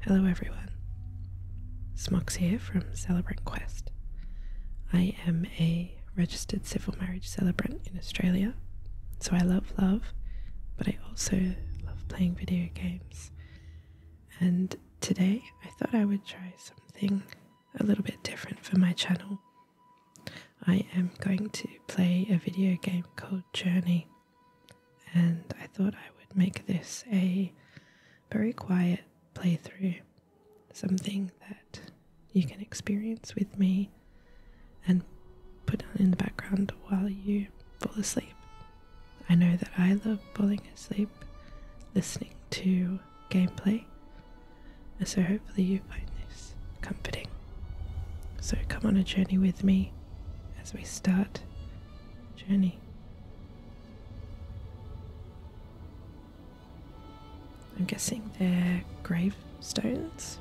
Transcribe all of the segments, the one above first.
Hello, everyone. Smox here from Celebrant Quest. I am a registered civil marriage celebrant in Australia, so I love love, but I also love playing video games. And today I thought I would try something a little bit different for my channel. I am going to play a video game called Journey and I thought I would make this a very quiet playthrough, something that you can experience with me and put on in the background while you fall asleep. I know that I love falling asleep listening to gameplay, and so hopefully you find this comforting. So come on a journey with me as we start journey. I'm guessing they're gravestones.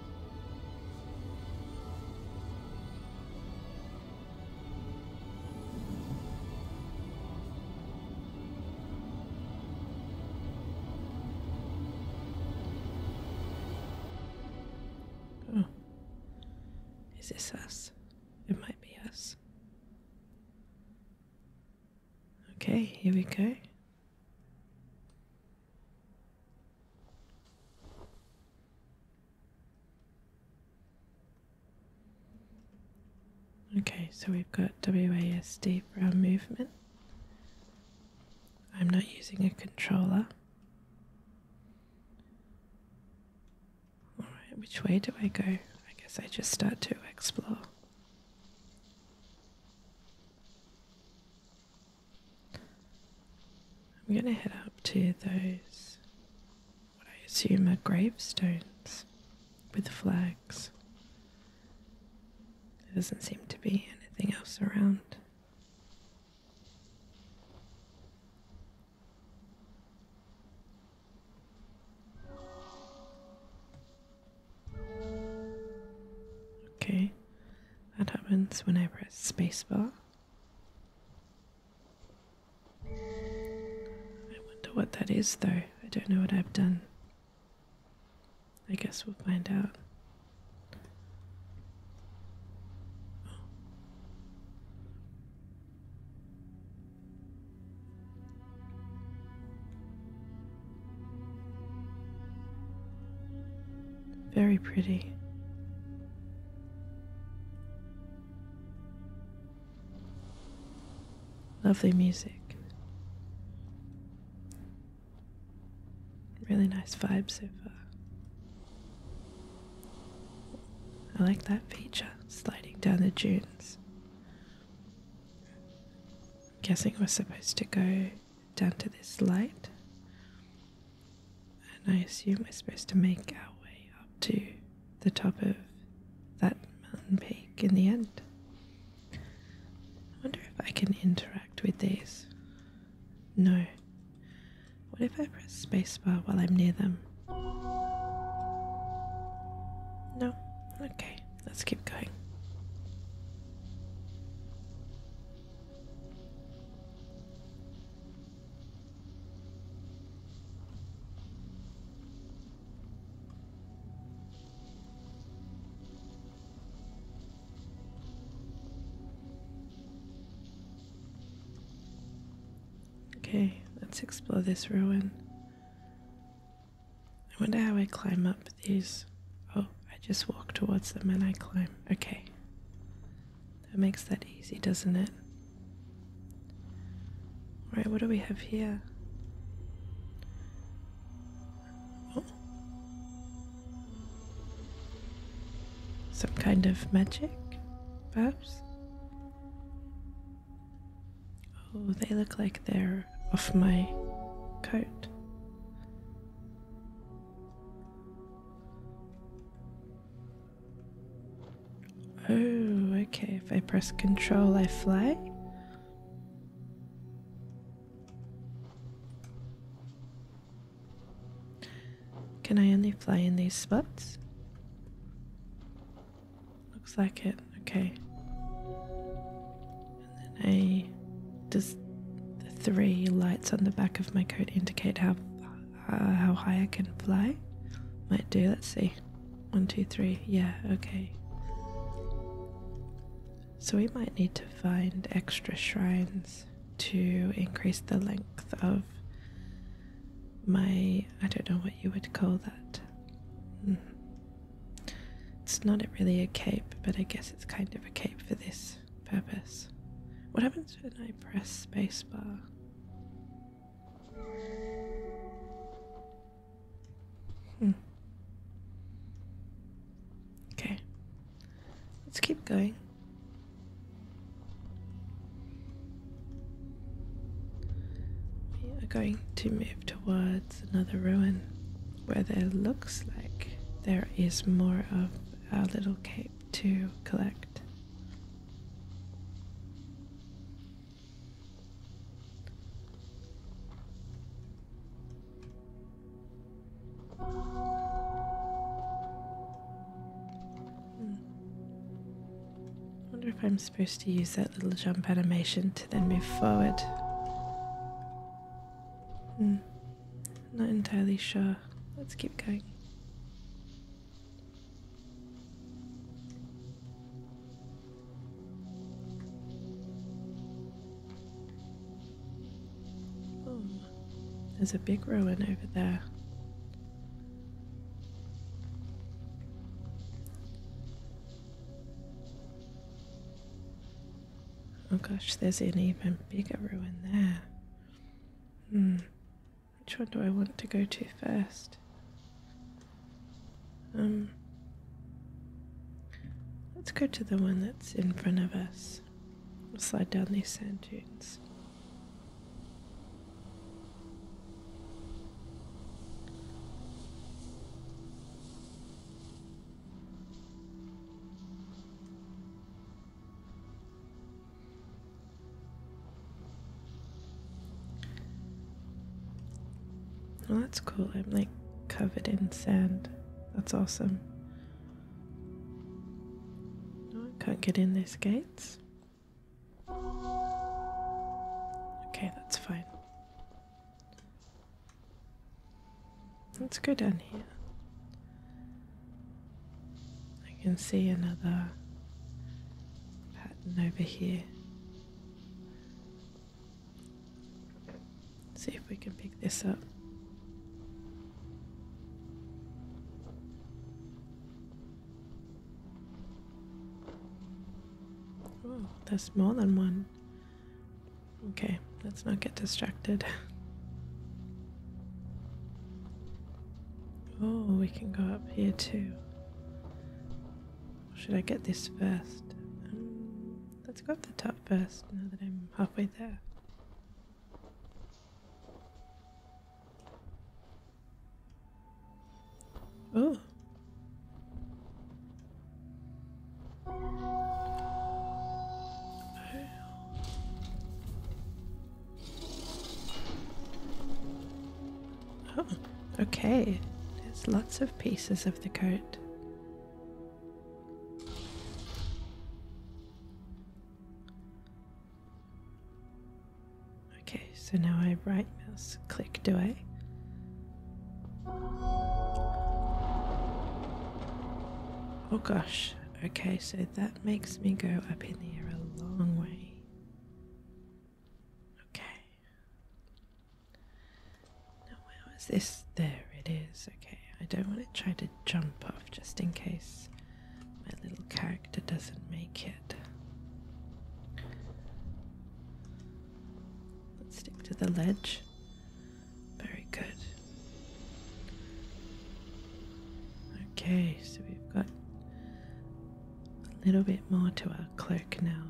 Oh. Is this us? It might be us. Okay, here we go. Okay, so we've got WASD for movement. I'm not using a controller. Alright, which way do I go? I guess I just start to explore. I'm going to head up to those, what I assume are gravestones with flags. There doesn't seem to be anything else around. Okay, that happens when I press spacebar. I wonder what that is, though. I don't know what I've done. I guess we'll find out. Very pretty. Lovely music. Really nice vibes so far. I like that feature, sliding down the dunes. I'm guessing we're supposed to go down to this light, and I assume we're supposed to make our way up to the top of that mountain peak in the end. I wonder if I can interact with these. No. What if I press spacebar while I'm near them? No. Okay, let's keep going. Okay, let's explore this ruin. I wonder how I climb up these. Oh, I just walk towards them and I climb. Okay. That makes that easy, doesn't it? Right, what do we have here? Oh. Some kind of magic bag? Oh, they look like they're off my coat. Oh, okay. If I press control, I fly. Can I only fly in these spots? Looks like it. Okay. And Does the three lights on the back of my coat indicate how uh, how high I can fly? Might do. Let's see. One, two, three. Yeah. Okay. So we might need to find extra shrines to increase the length of my I don't know what you would call that. Mm. It's not really a cape, but I guess it's kind of a cape for this purpose. What happens when I press spacebar? Hmm. Okay. Let's keep going. We are going to move towards another ruin where there looks like there is more of our little cape to collect. Hmm. I wonder if I'm supposed to use that little jump animation to then move forward. Hmm. Not entirely sure. Let's keep going. There's a big ruin over there. Oh gosh, there's an even bigger ruin there. Hmm. Which one do I want to go to first? Um. Let's go to the one that's in front of us. We'll slide down these sand dunes. Oh, that's cool. I'm like covered in sand. That's awesome. I can't get in these gates. Okay, that's fine. Let's go down here. I can see another pattern over here. See if we can pick this up. Oh, there's more than one. Okay, let's not get distracted. Oh, we can go up here too. should I get this first? Um, let's go up the top first now that I'm halfway there. Oh. Oh, okay. There's lots of pieces of the coat. Okay, so now I right mouse click, do I? Oh gosh, okay, so that makes me go up in the air a long way. Okay. Now, where was this? There it is. Okay, I don't want to try to jump off just in case my little character doesn't make it. Let's stick to the ledge. Very good. Okay, so we've got a little bit more to our cloak now.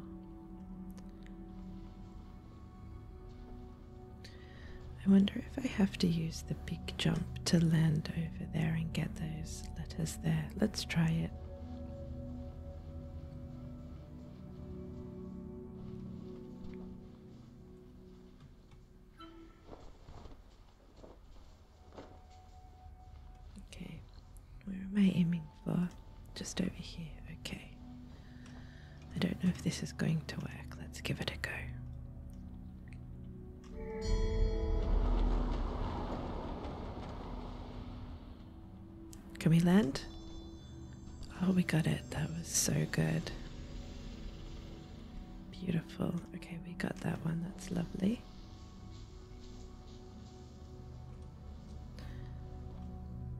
I wonder if I have to use the big jump to Lando over there and get those letters there. Let's try it. Okay, where am I aiming for? Just over here, okay. I don't know if this is going to work. Let's give it a go. Can we land? Oh, we got it. That was so good. Beautiful. Okay, we got that one. That's lovely.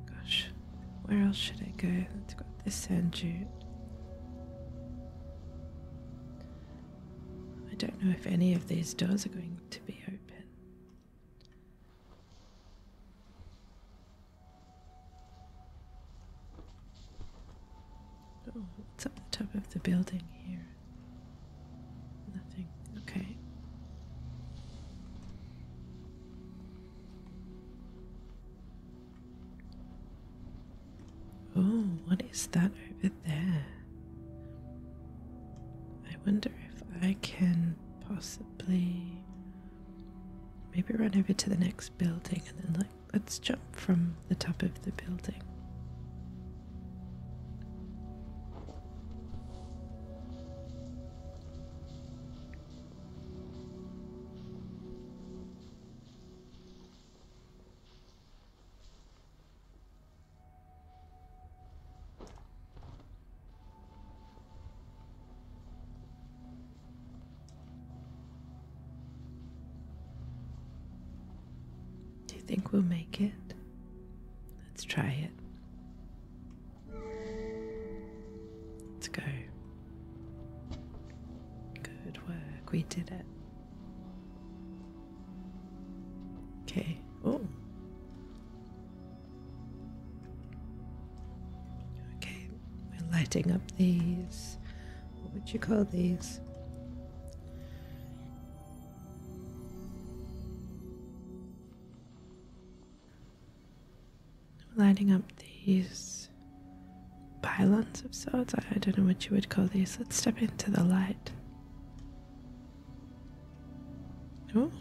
Gosh, where else should I go? Let's go this sand dune. I don't know if any of these doors are going to be open. Oh, what's up the top of the building here? Nothing. Okay. Oh, what is that over there? there. I wonder if I can possibly maybe run over to the next building and then, like, let's jump from the top of the building. Do you think we'll make it? Let's try it. Let's go. Good work, we did it. Okay. Oh. Okay. We're lighting up these. What would you call these? Lighting up these pylons of sorts. I don't know what you would call these. Let's step into the light. Oh.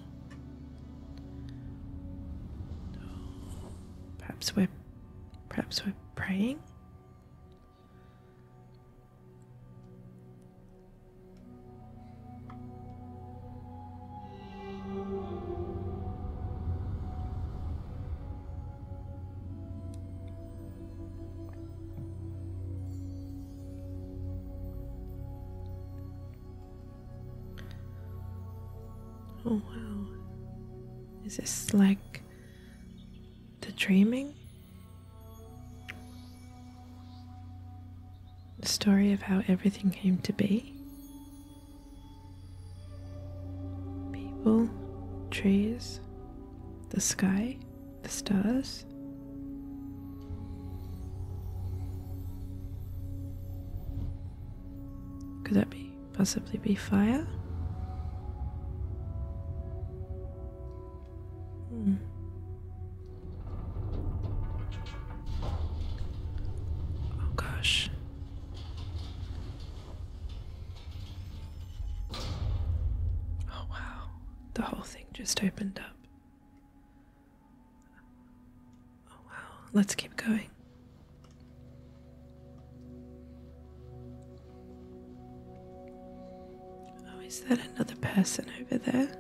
Perhaps we're perhaps we're praying. Oh wow. Is this like the dreaming? The story of how everything came to be? People, trees, the sky? the stars. Could that be possibly be fire? Hmm. Oh gosh. Oh wow. The whole thing just opened up. Oh, wow. Let's keep going. Oh, is that another person over there?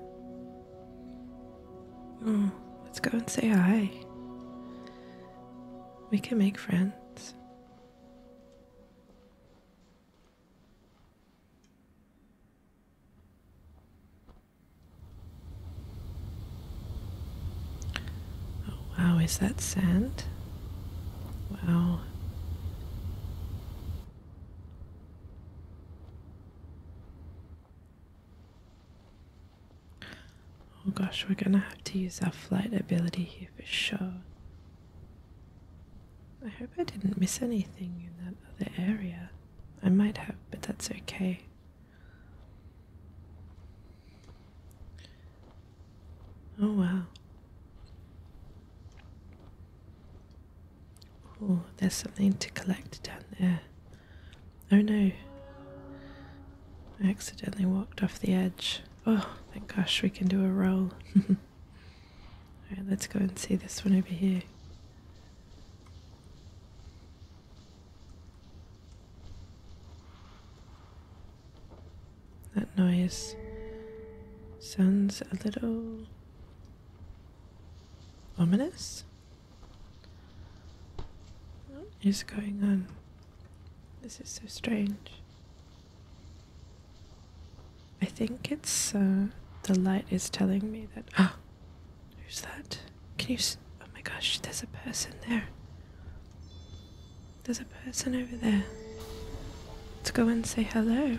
Oh, let's go and say hi. We can make friends. Oh, wow, is that sand? Wow. Oh gosh, we're gonna have to use our flight ability here for sure. I hope I didn't miss anything in that other area. I might have, but that's okay. Oh wow. Oh, there's something to collect down there. Oh no. I accidentally walked off the edge. Oh, thank gosh, we can do a roll. Alright, let's go and see this one over here. That noise sounds a little ominous. What is going on? This is so strange. I think it's uh, the light is telling me that. Oh, who's that? Can you? oh my gosh, there's a person there. There's a person over there. Let's go and say hello.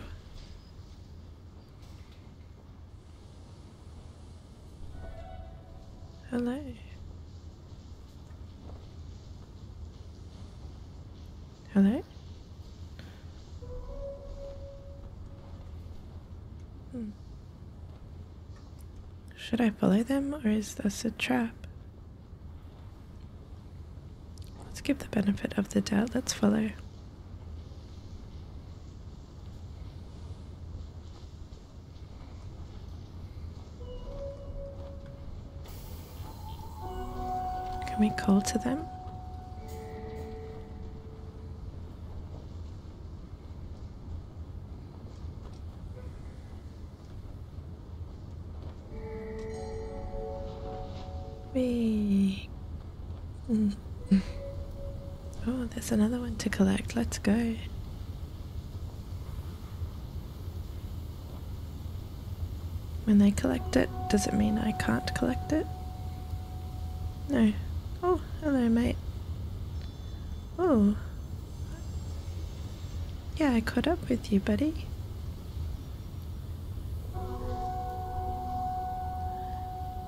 Hello. Hello? Hmm. Should I follow them or is this a trap? Let's give the benefit of the doubt. Let's follow. Can we call to them? Whee. Mm. Oh, there's another one to collect. Let's go. When they collect it, does it mean I can't collect it? No. Oh, hello, mate. Oh. Yeah, I caught up with you, buddy.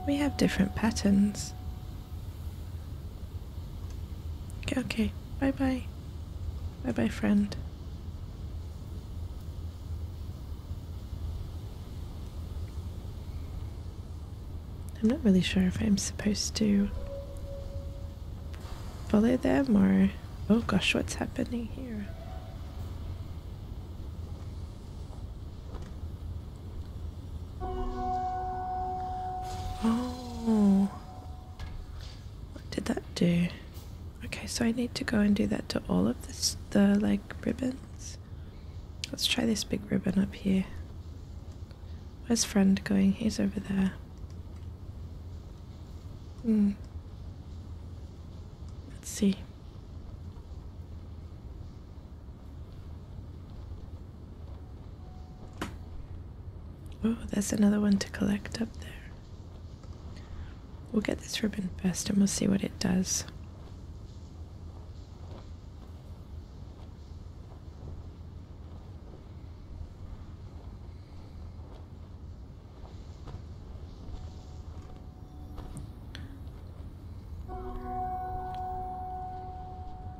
We have different patterns. Okay, okay. Bye-bye. Bye-bye, friend. I'm not really sure if I'm supposed to follow them or. Oh gosh, what's happening here? Oh. What did that do? Okay, so I need to go and do that to all of this, the like ribbons. Let's try this big ribbon up here. Where's friend going? He's over there. Hmm. Let's see. Oh, there's another one to collect up there. We'll get this ribbon first and we'll see what it does.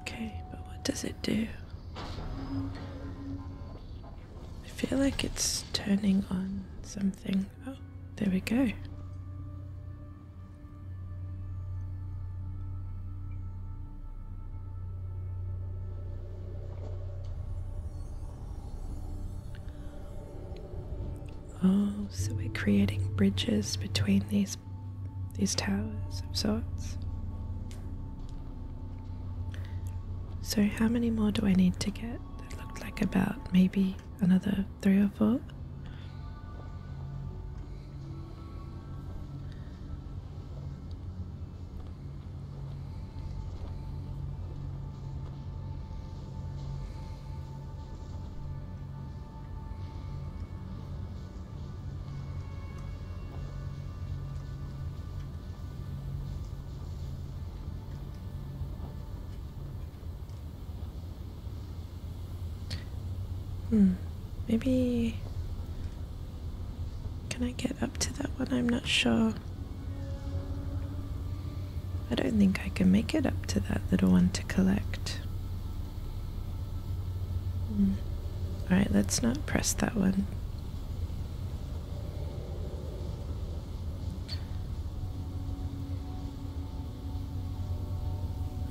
Okay, but what does it do? I feel like it's turning on something. Oh, there we go. Oh, so we're creating bridges between these these towers of sorts. So how many more do I need to get? That looked like about maybe another three or four. Hmm. Maybe. Can I get up to that one? I'm not sure. I don't think I can make it up to that little one to collect. Hmm, alright, let's not press that one.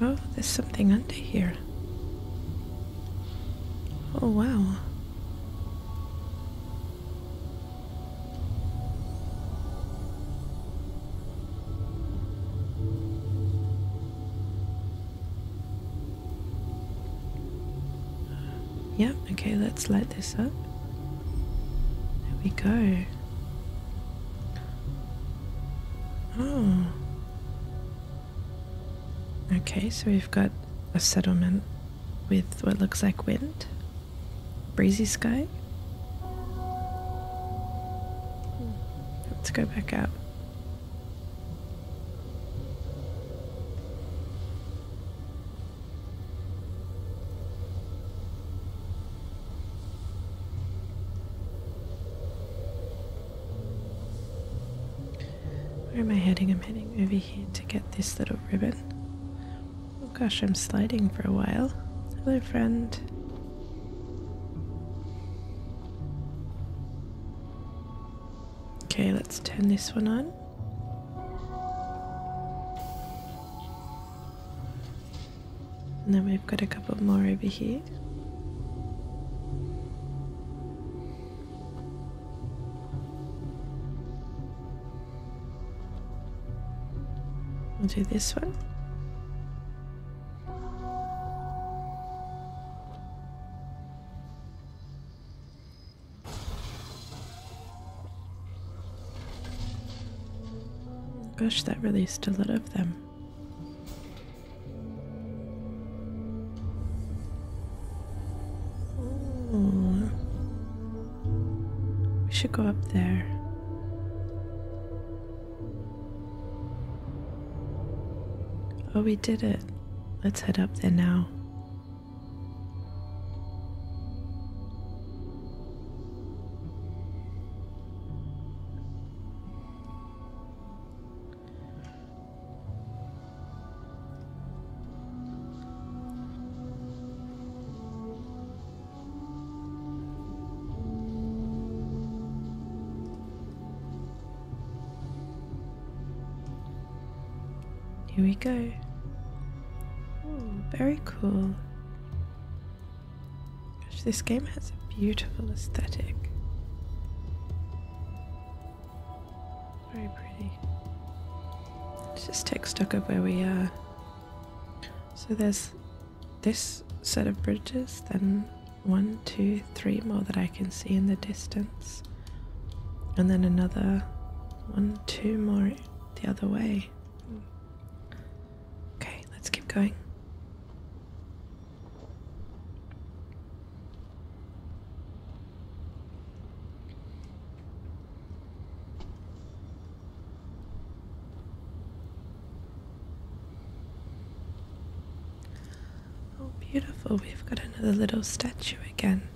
Oh, there's something under here. Oh, wow. Yep, okay, let's light this up. There we go. Oh. Okay, so we've got a settlement with what looks like wind, breezy sky. Let's go back out. Where am I heading? I'm heading over here to get this little ribbon. Oh gosh, I'm sliding for a while. Hello, friend. Okay, let's turn this one on. And then we've got a couple more over here. We'll do this one. Gosh, that released a lot of them. We should go up there. Oh, we did it. Let's head up there now. Here we go. very cool this game has a beautiful aesthetic. Very pretty. Let's just take stock of where we are. So there's this set of bridges, then one, two, three more that I can see in the distance, and then another one, two more the other way. Hmm. Okay, let's keep going. Oh, beautiful, we've got another little statue again.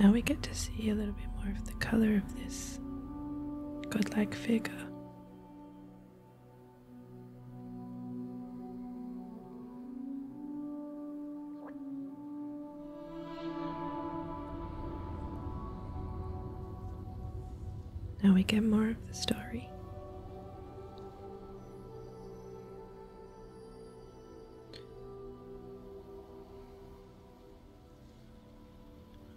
Now we get to see a little bit more of the color of this godlike figure. Now we get more of the story.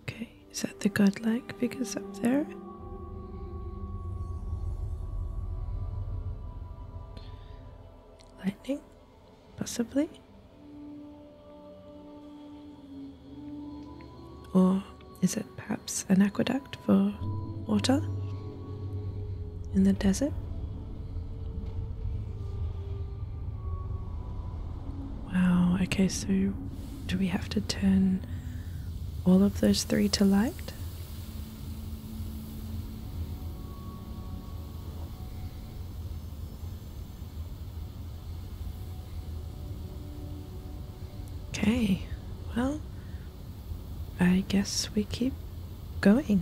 Okay, is that the godlike figures up there? Lightning? Possibly? Or is it perhaps an aqueduct for water in the desert? Wow, okay, so do we have to turn all of those three to light? Okay, well, I guess we keep going.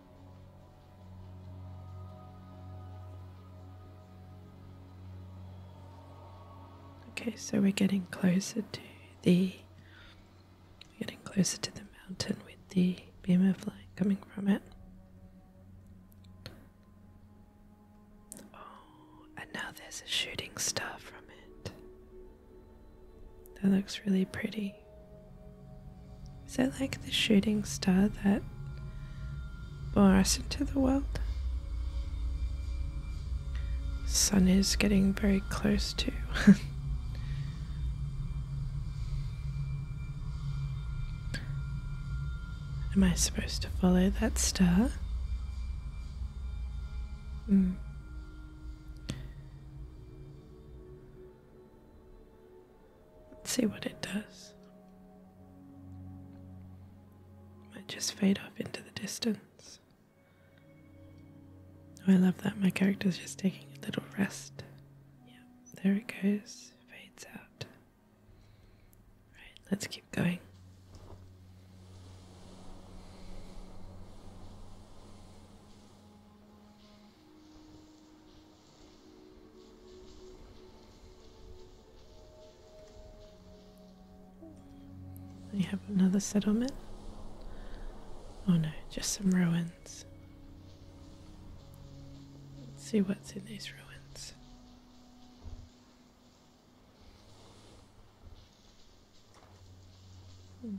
Okay, so we're getting closer to the getting closer to the mountain with the beam of light coming from it. Oh, and now there's a shooting star from it. That looks really pretty. Is that like the shooting star that bore us into the world? The sun is getting very close to. Am I supposed to follow that star? Mm. Let's see what it does. Might just fade off into the distance. Oh, I love that. My character's just taking a little rest. Yeah, there it goes. Fades out. Right, let's keep going. We have another settlement. Oh no, just some ruins. Let's see what's in these ruins. Hmm.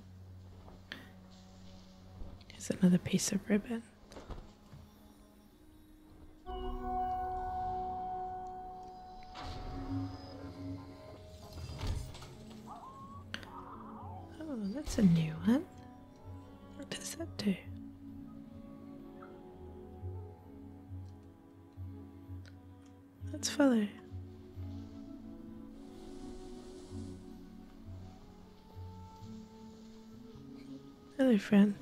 Here's another piece of ribbon. Oh, that's a new one. What does that do? That's funny. Hello, friend.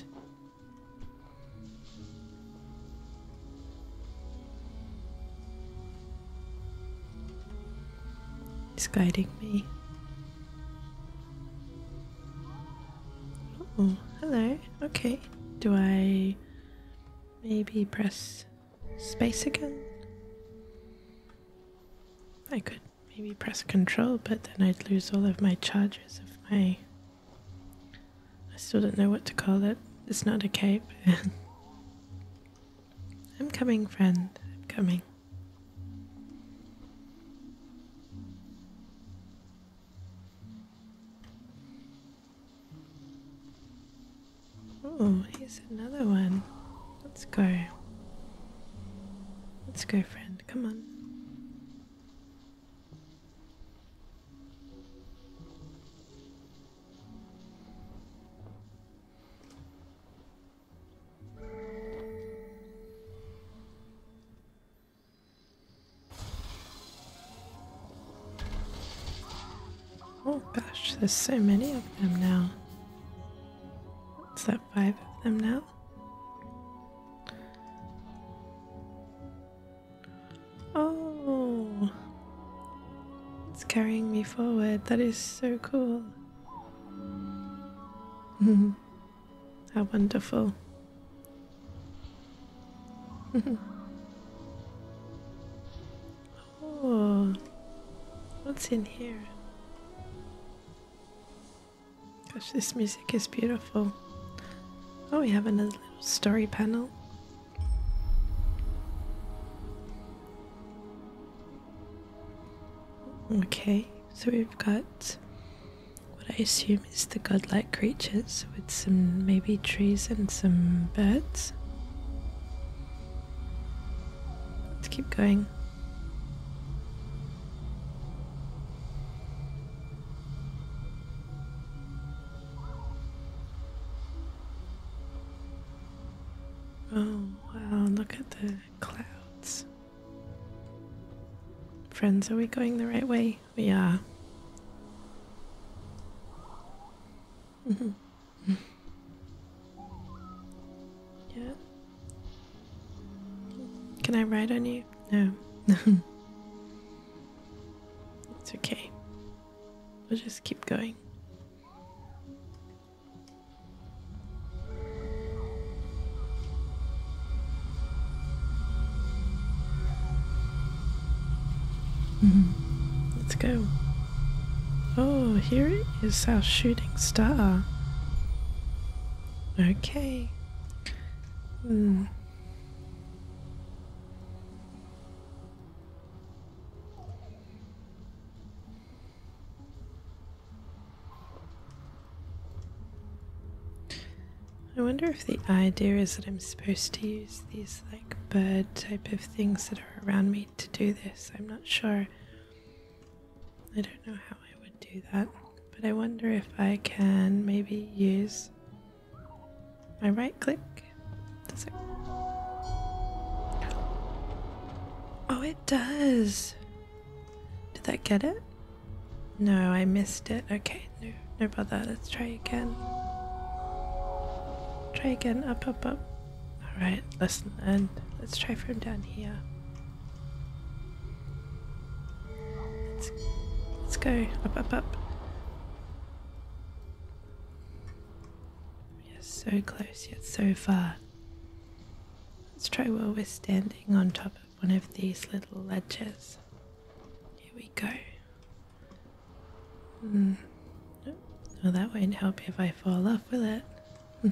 He's guiding me. Oh, hello. Okay. Do I maybe press space again? I could maybe press control, but then I'd lose all of my charges of my. I still don't know what to call it. It's not a cape. I'm coming, friend. I'm coming. Oh, here's another one. Let's go. Let's go, friend. Come on. Oh gosh, there's so many of them now. What's that, five of them now? Oh, it's carrying me forward. That is so cool. How wonderful. oh, what's in here? Gosh, this music is beautiful. Oh, we have another little story panel. Okay, so we've got what I assume is the godlike creatures with some maybe trees and some birds. Let's keep going. Oh, wow, look at the clouds. Friends, are we going the right way? We are. yeah. Can I ride on you? No. it's okay. We'll just keep going. Mm-hmm. Let's go. Oh, here it is our shooting star. Okay. I wonder if the idea is that I'm supposed to use these like bird type of things that are around me to do this. I'm not sure. I don't know how. I would do that, but I wonder if I can maybe use my right click. Oh, it does. Did that get it? No, I missed it. Okay, no, no bother. Let's try again. Try again. Up, up, up. All right, listen, and let's try from down here. Let's, let's go up, up, up. We're so close yet so far. Let's try where we're standing on top of one of these little ledges. Here we go. Mm. Well, that won't help if I fall off, with it?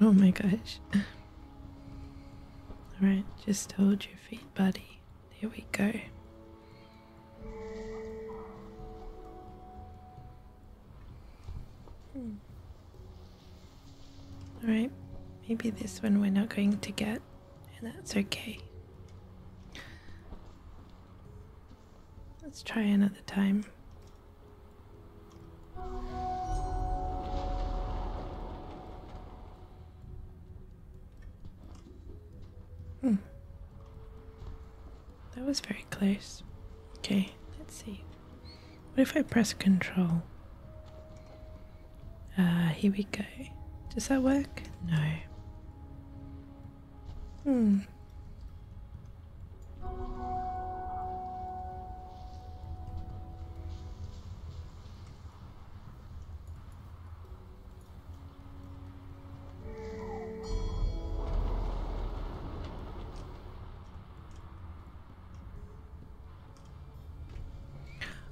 oh my gosh. Alright, just hold your feet, buddy. There we go. Alright, maybe this one we're not going to get, and that's okay. Let's try another time. Hmm. That was very close. Okay, let's see. What if I press control? Ah, here we go. Does that work? No. Hmm.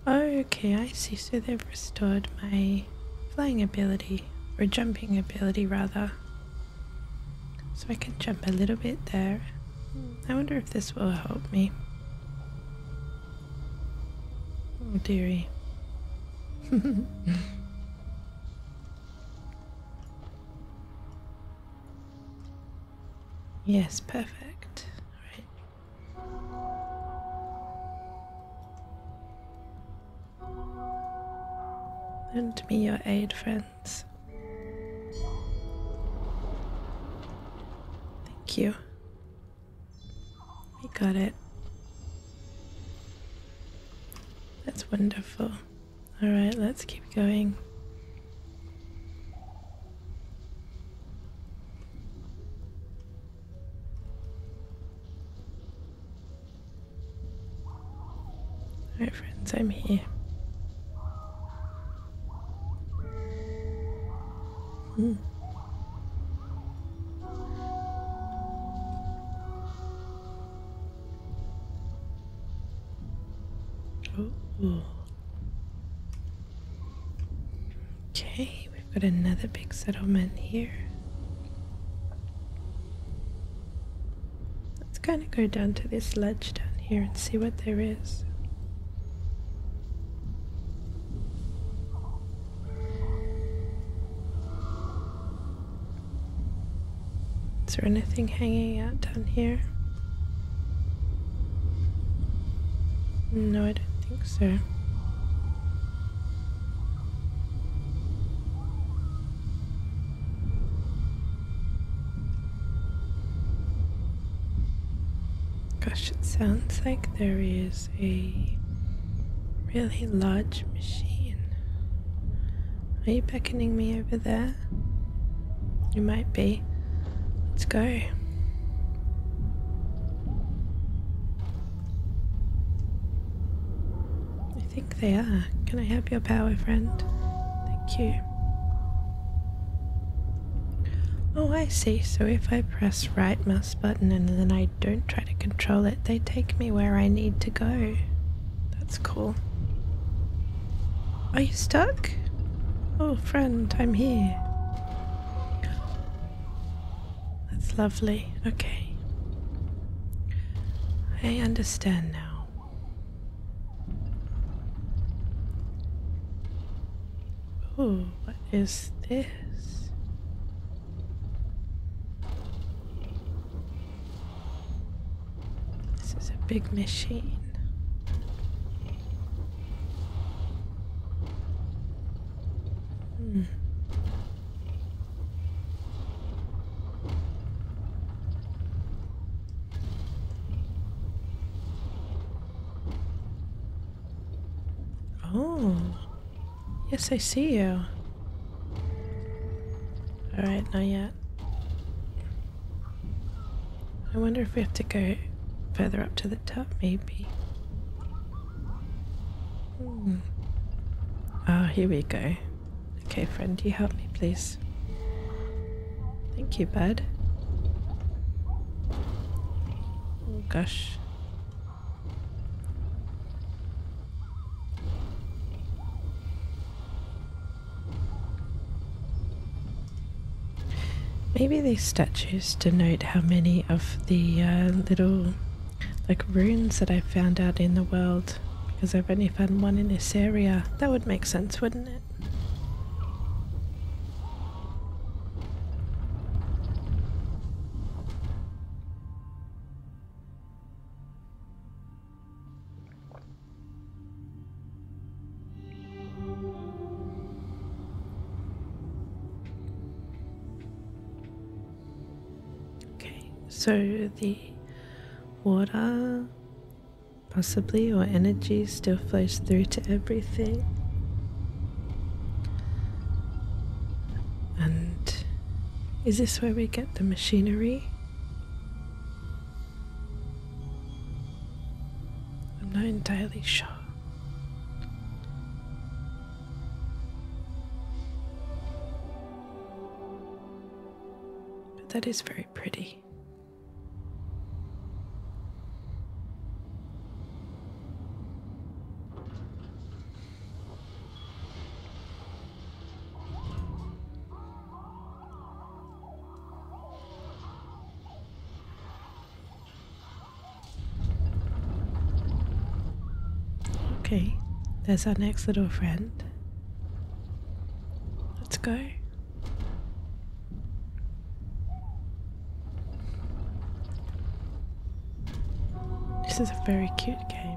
Okay, I see. So they've restored my flying ability, or jumping ability rather. So I can jump a little bit there. I wonder if this will help me. Oh, dearie. yes, perfect. Right. Lend me your aid, friends. Thank you. We got it. That's wonderful. Alright, let's keep going. Alright, friends, I'm here. Hmm. Oh. Okay, we've got another big settlement here. Let's kind of go down to this ledge down here and see what there is. Is there anything hanging out down here? No, I don't think so. Gosh, it sounds like there is a really large machine. Are you beckoning me over there? You might be. Let's go. I think they are. Can I have your power, friend? Thank you. Oh, I see. So if I press right mouse button and then I don't try to control it, they take me where I need to go. That's cool. Are you stuck? Oh, friend, I'm here. That's lovely. Okay. I understand now. Ooh, what is this? This is a big machine. Hmm. Oh. Yes, I see you. Alright, not yet. I wonder if we have to go further up to the top, maybe. Hmm. Ah, oh, here we go. Okay, friend, you help me, please. Thank you, bud. Oh, gosh. Maybe these statues denote how many of the uh, little like runes that I have found out in the world because I've only found one in this area. That would make sense, wouldn't it? Okay, so the water possibly or energies still flows through to everything. And is this where we get the machinery? I'm not entirely sure. But that is very pretty. Okay, there's our next little friend. Let's go. This is a very cute game.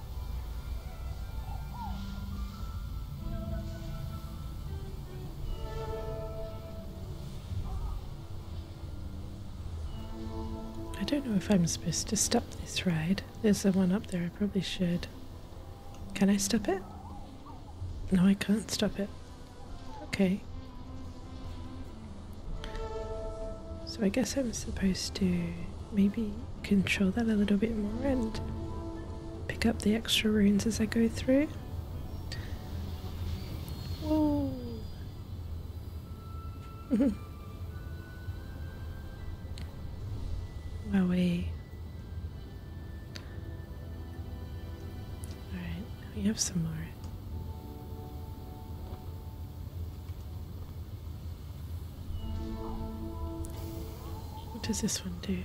I don't know if I'm supposed to stop this ride. There's the one up there, I probably should. Can I stop it? No, I can't stop it. Okay. So I guess I'm supposed to maybe control that a little bit more and pick up the extra runes as I go through. Whoa! Wowie. Alright, we have some more. What does this one do?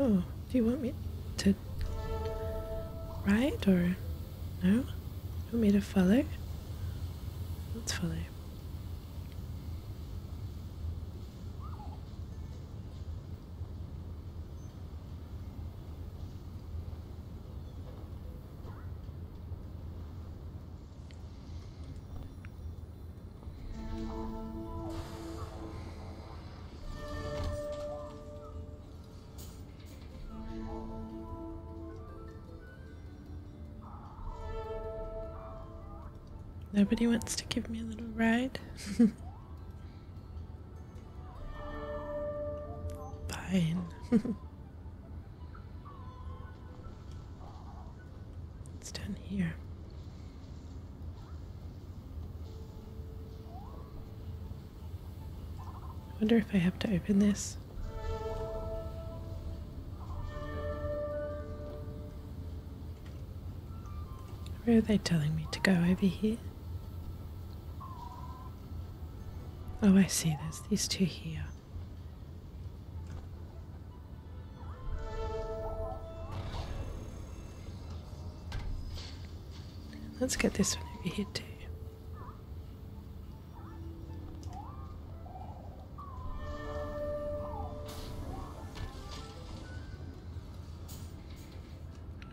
Oh, do you want me to ride or no? You want me to follow? Let's follow. Nobody wants to give me a little ride. Fine. It's down here. I wonder if I have to open this. Where are they telling me to go over here? Oh, I see. There's these two here. Let's get this one over here too.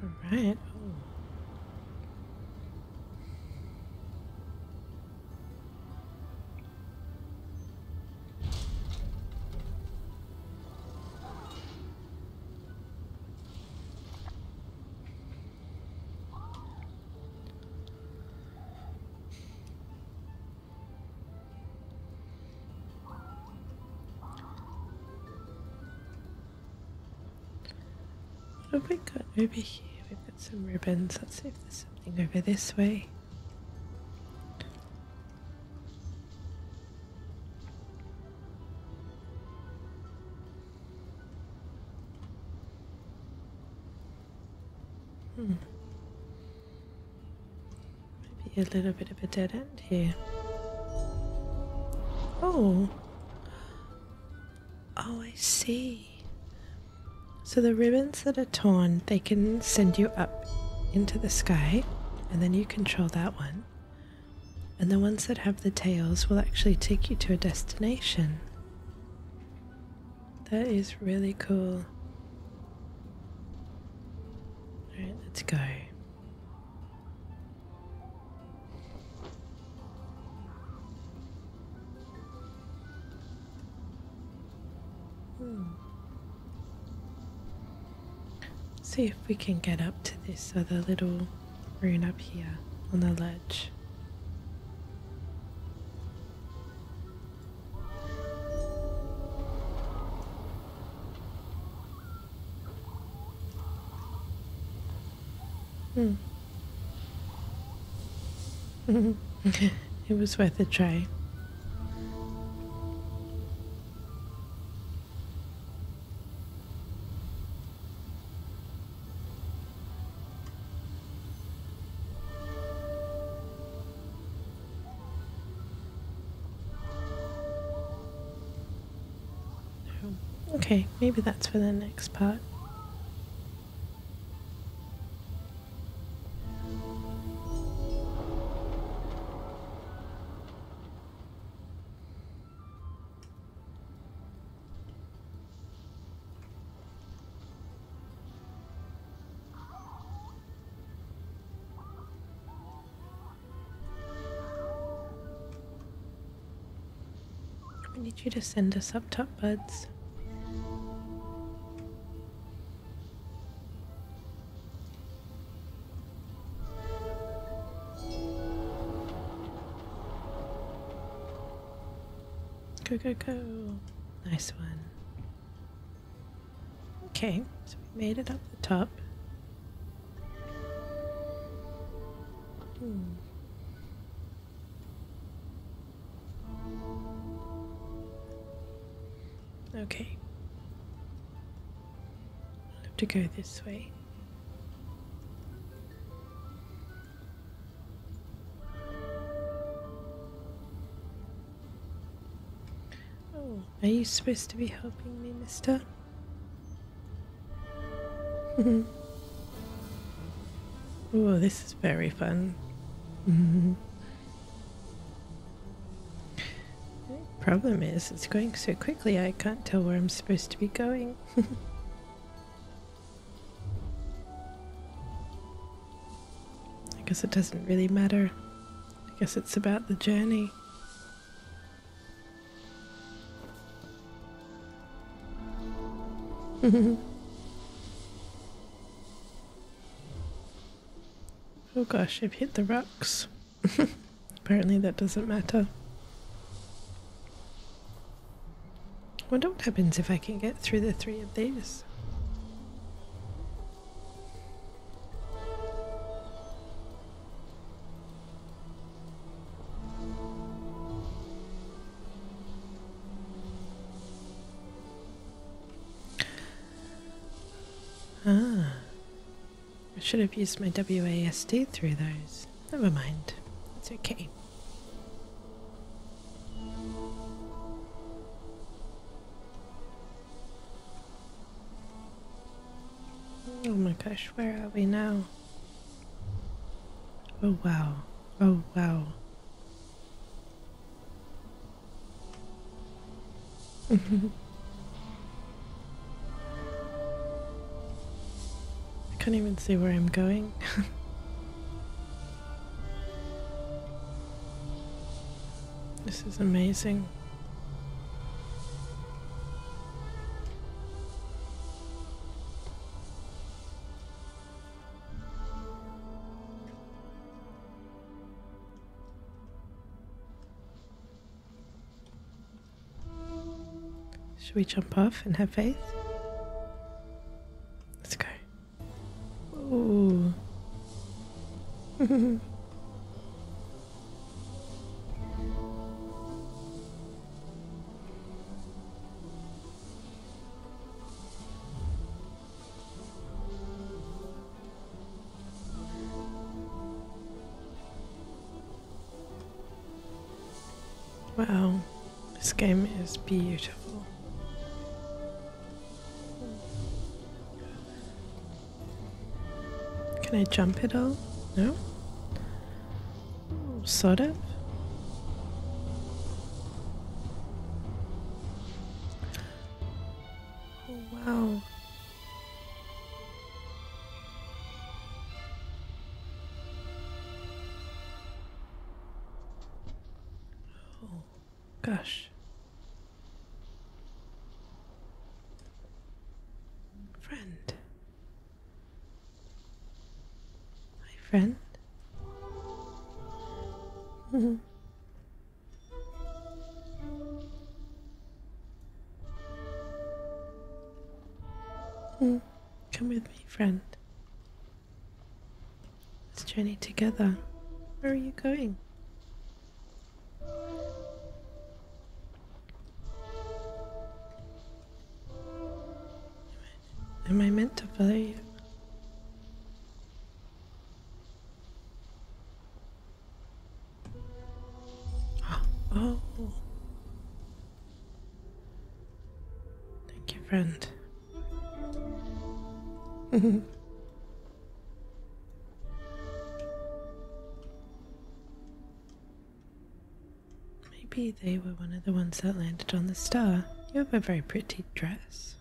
All right. What have we got over here? We've some ribbons. Let's see if there's something over this way. Hmm. Maybe a little bit of a dead end here. Oh. Oh, I see. So the ribbons that are torn, they can send you up into the sky, and then you control that one. And the ones that have the tails will actually take you to a destination. That is really cool. Alright, let's go. Hmm. See if we can get up to this other little rune up here on the ledge. Hmm. Mm-hmm. it was worth a try. Okay, maybe that's for the next part. I need you to send us up top, buds. Go, go, go. Nice one. Okay, so we made it up the top. Hmm. Okay. i have to go this way. Oh, are you supposed to be helping me, mister? oh, this very fun. Mm-hmm. Problem is, it's going so quickly I can't tell where I'm supposed to be going. I guess it doesn't really matter. I guess it's about the journey. oh gosh, I've hit the rocks. Apparently that doesn't matter. Wonder what happens if I can get through the three of these. Ah. I should have used my WASD through those. Never mind. It's okay. Oh my gosh, where are we now? Oh wow. Oh wow. I can't even see where I'm going. this is amazing. Should we jump off and have faith? Let's go. Ooh. Wow, this game is beautiful. Can I jump it all? No? Sort of. Oh, wow. Oh, gosh. Friend. Hi, friend. Mm-hmm. Come with me, friend. Let's journey together. Where are you going? Am I meant to believe? Oh. Thank you, friend. Maybe they were one of the ones that landed on the star. You have a very pretty dress.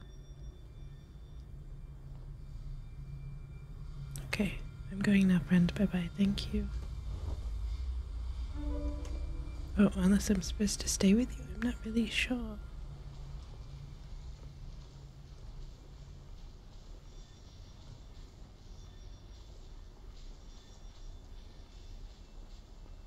Okay, I'm going now, friend. Bye bye. Thank you. Oh, unless I'm supposed to stay with you, I'm not really sure.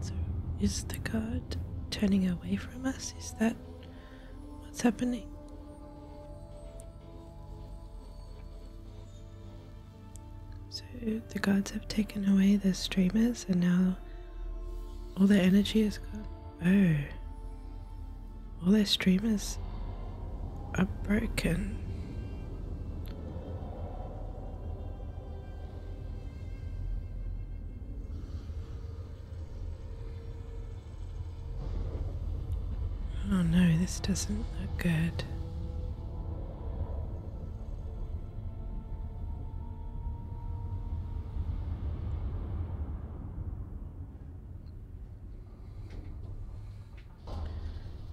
So, is the god turning away from us? Is that what's happening? So, the gods have taken away the streamers, and now all their energy is gone. Oh, all their streamers are broken. Oh no, this doesn't look good.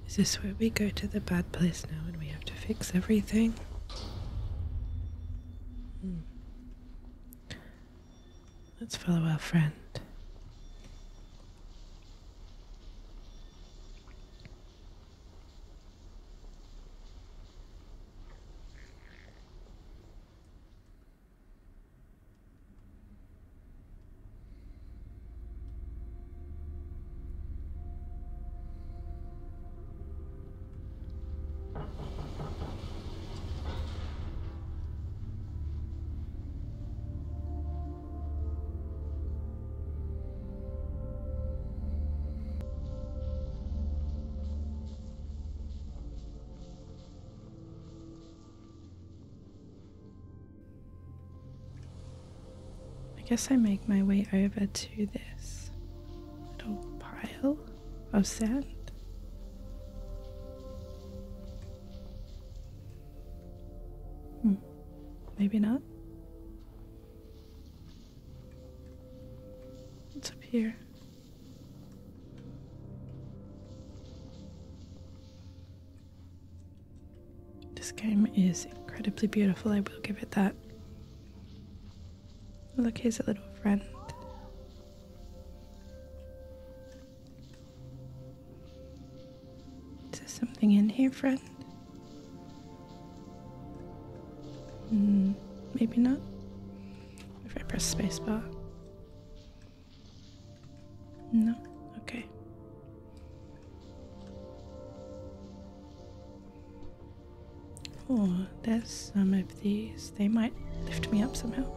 Is this where we go to the bad place now and we have to fix everything? Hmm. Let's follow our friend. I guess I make my way over to this little pile of sand. Hmm, maybe not. It's up here? This game is incredibly beautiful, I will give it that. Look, here's a little friend. Is there something in here, friend? Hmm, maybe not. If I press space bar. No? Okay. Oh, there's some of these. They might lift me up somehow. Am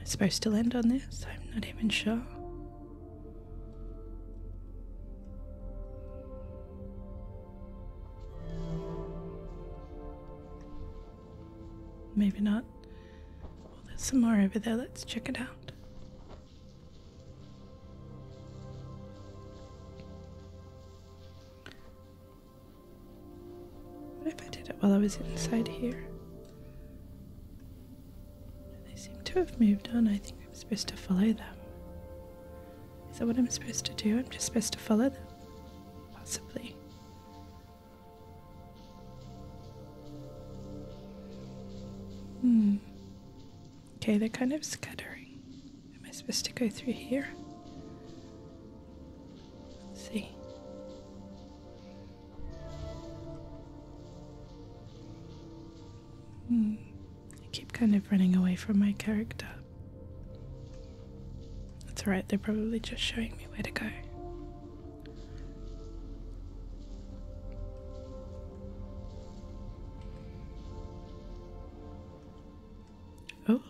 I supposed to land on this? I'm not even sure. Maybe not. Well, there's some more over there. Let's check it out. What if I did it while I was inside here? They seem to have moved on. I think I'm supposed to follow them. Is that what I'm supposed to do? I'm just supposed to follow them? Possibly. Hmm. Okay, they're kind of scattering. Am I supposed to go through here? see. I hmm. keep kind of running away from my character. That's alright, they're probably just showing me where to go. Oh.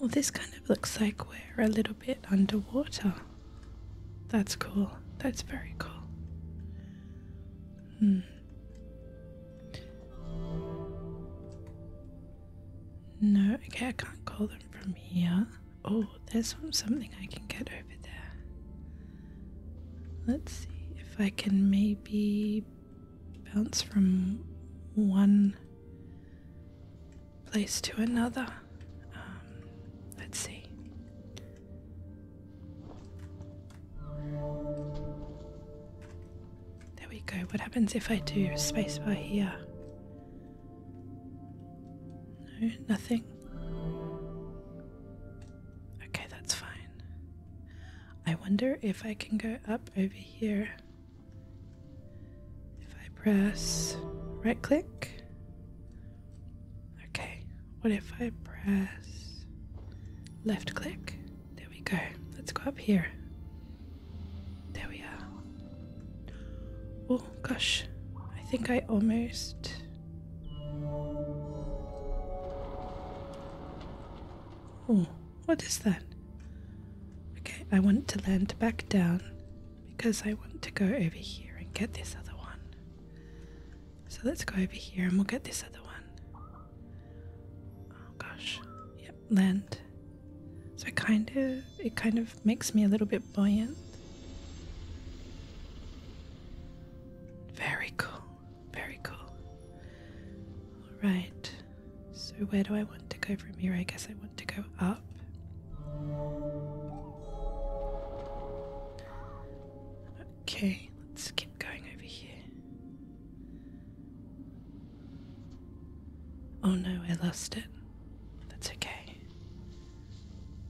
Oh, this kind of looks like we're a little bit underwater. That's cool. That's very cool. Hmm. No, okay, I can't call them from here. Oh, there's something I can get Let's see if I can maybe bounce from one place to another. Um, let's see. There we go. What happens if I do spacebar here? nothing. Okay, that's fine. I wonder if I can go up over here. If I press right click. Okay, what if I press left click? There we go. Let's go up here. There we are. Oh gosh, I think I almost Oh, what is that? Okay, I want to land back down because I want to go over here and get this other one. So let's go over here and we'll get this other one. Oh gosh. Yep, land. So it kind of it kind of makes me a little bit buoyant. Very cool. Very cool. Alright, so where do I want to go from here? I guess I want to go up. Okay, let's keep going over here. Oh no, I lost it. That's okay.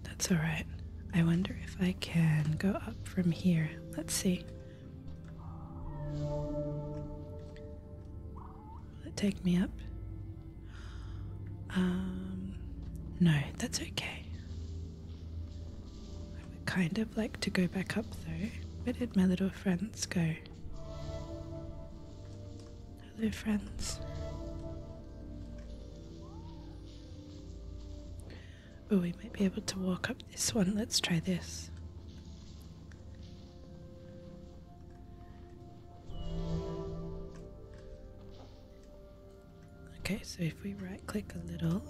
That's alright. I wonder if I can go up from here. Let's see. Will it take me up? Um, no, that's okay. I would kind of like to go back up though. Where did my little friends go? Hello, friends. Oh, we might be able to walk up this one. Let's try this. Okay, so if we right click a little,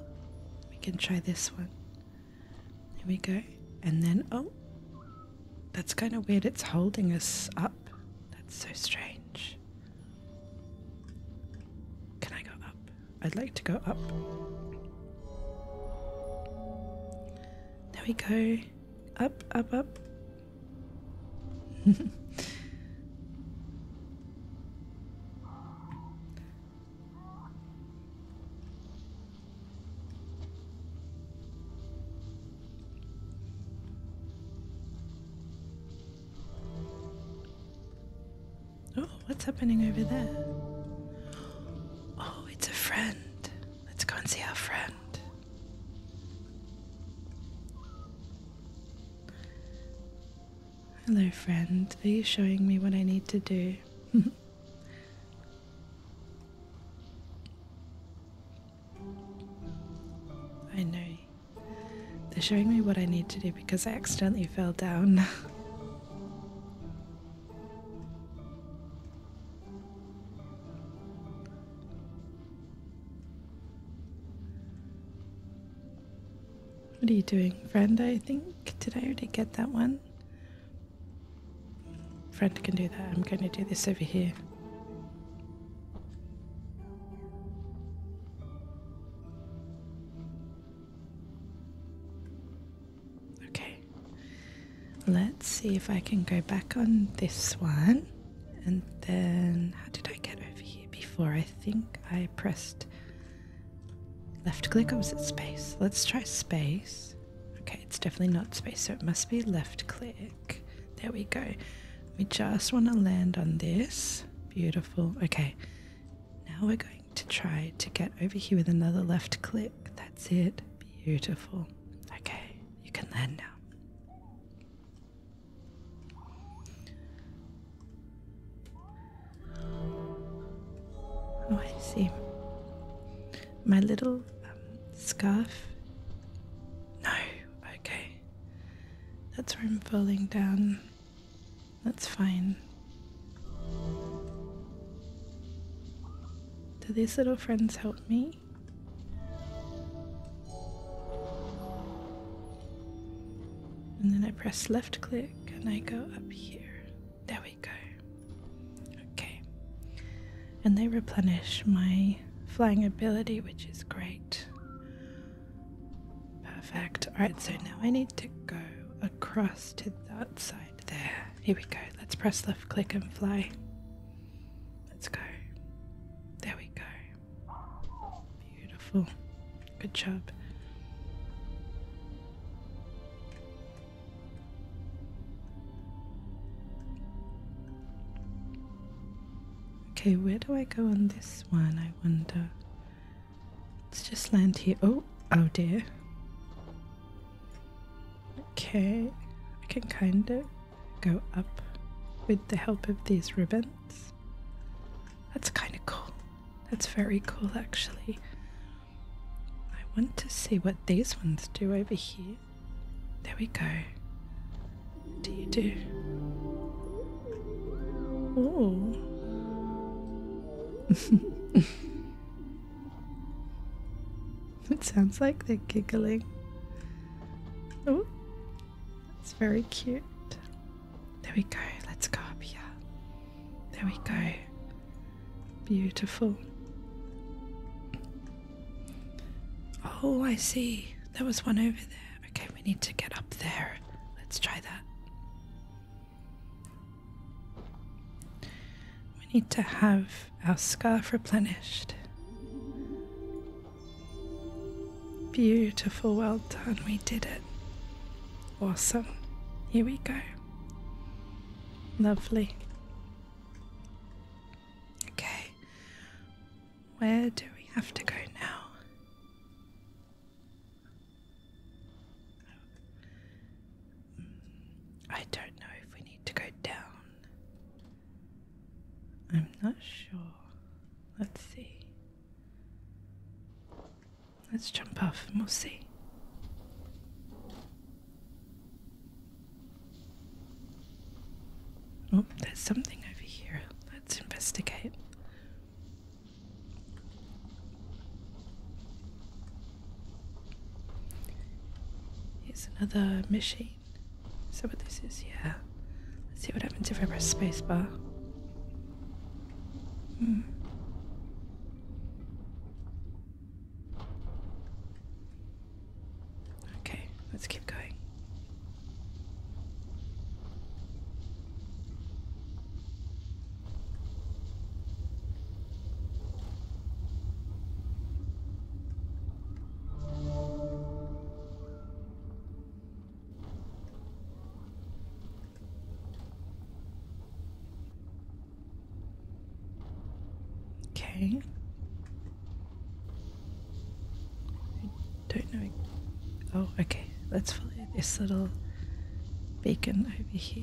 we can try this one. Here we go. And then, oh, that's kind of weird. It's holding us up. That's so strange. Can I go up? I'd like to go up. There we go. Up, up, up. Oh, what's happening over there? Oh, it's a friend. Let's go and see our friend. Hello, friend. Are you showing me what I need to do? I know. They're showing me what I need to do because I accidentally fell down. What are you doing, friend? I think. Did I already get that one? Friend can do that. I'm going to do this over here. Okay, let's see if I can go back on this one. And then, how did I get over here before? I think I pressed left click, or was it space? Let's try space. Okay, it's definitely not space, so it must be left click. There we go. We just want to land on this. Beautiful. Okay, now we're going to try to get over here with another left click. That's it. Beautiful. Okay, you can land now. Oh, I see. My little um, scarf. No, okay. That's where I'm falling down. That's fine. Do these little friends help me? And then I press left click and I go up here. There we go. Okay. And they replenish my flying ability, which is great. Perfect. Alright, so now I need to go across to that side there. Here we go. Let's press left click and fly. Let's go. There we go. Beautiful. Good job. Okay, where do I go on this one? I wonder. Let's just land here. Oh, oh dear. Okay, I can kind of go up with the help of these ribbons. That's kind of cool. That's very cool, actually. I want to see what these ones do over here. There we go. What do you do? Oh. it sounds like they're giggling. Oh, it's very cute. There we go. Let's go up here. There we go. Beautiful. Oh, I see. There was one over there. Okay, we need to get up there. Let's try that. We need to have our scarf replenished. Beautiful, well done, we did it. Awesome. Here we go. Lovely. Okay, where do we have to go now? Mm, I don't know if we need to go down. I'm not sure. Let's see. Let's jump off and we'll see. Oh, there's something over here. Let's investigate. Here's another machine. Is that what this is? Yeah. Let's see what happens if I press spacebar. Hmm. Okay, let's keep going. Okay. I don't know. Oh, okay. Let's follow this little beacon over here.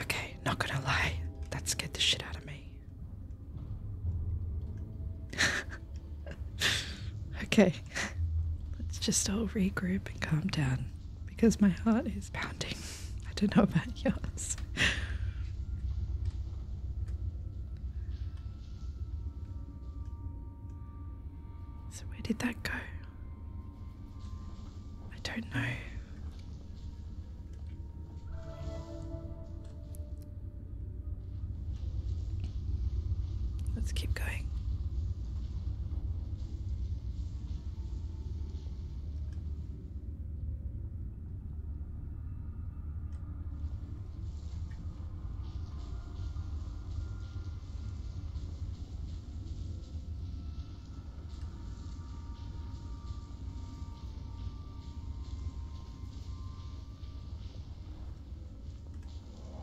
Okay, not gonna lie, that scared the shit out of me. okay, let's just all regroup and calm down because my heart is pounding. I don't know about yours. So, where did that go? I don't know. Let's keep going.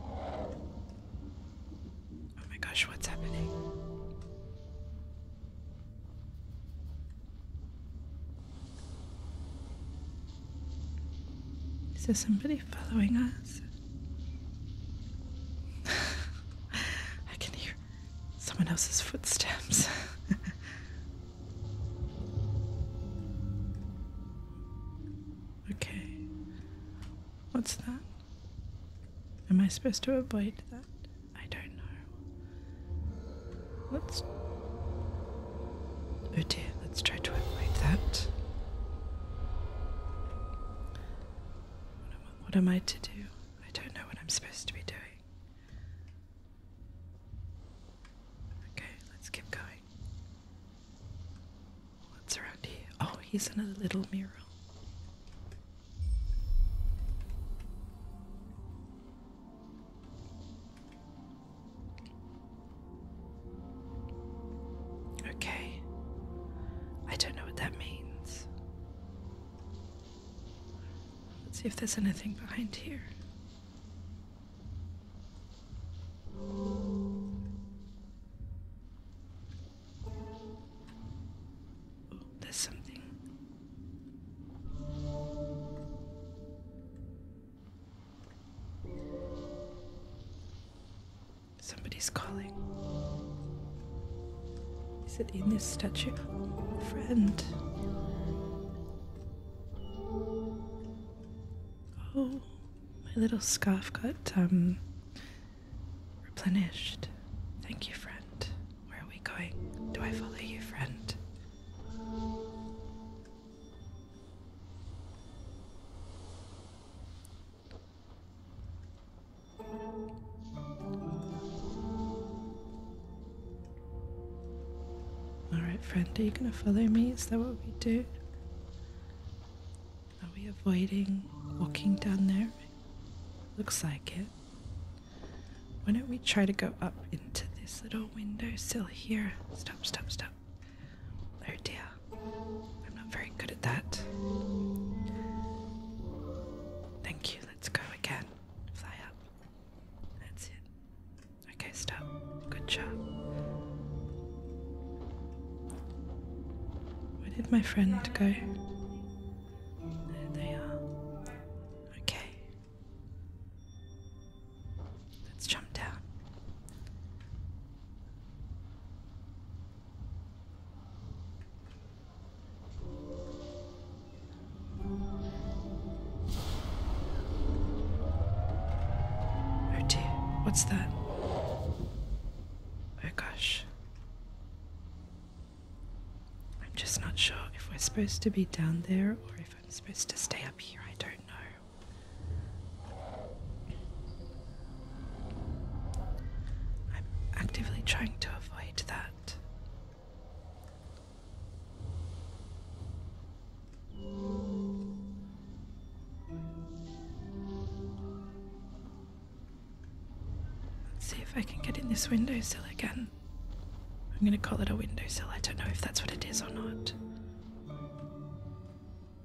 Oh my gosh, what's happening? Is there somebody following us? I can hear someone else's footsteps. okay. What's that? Am I supposed to avoid that? I don't know. Let's. Oh dear, let's try to avoid that. What am, I, to do? I don't know what I'm supposed to be doing. Okay, let's keep going. What's around here? Oh, he's in a little mural. Okay. I don't know what that means. Let's see if there's anything behind here. there's something. Somebody's calling. Is it in this statue? friend. Oh, my little scarf got um replenished. Thank you, friend. Where are we going? Do I follow you, friend? Alright, friend, are you going to follow me? Is that what we do? Are we avoiding walking down there? Looks like it. Why don't we try to go up into this little windowsill here? Stop, stop, stop. There, oh dear. I'm not very good at that. Thank you. Let's go again. Fly up. That's it. Okay, stop. Good job. Where did my friend go? There they are. Okay. Let's jump down. Oh dear, what's that? Oh gosh. I'm just not sure if we're supposed to be down there or if I'm supposed to stay up here. I don't know. I'm actively trying to avoid that. Let's see if I can get in this windowsill again. I'm gonna call it a windowsill, I don't know if that's what it is or not.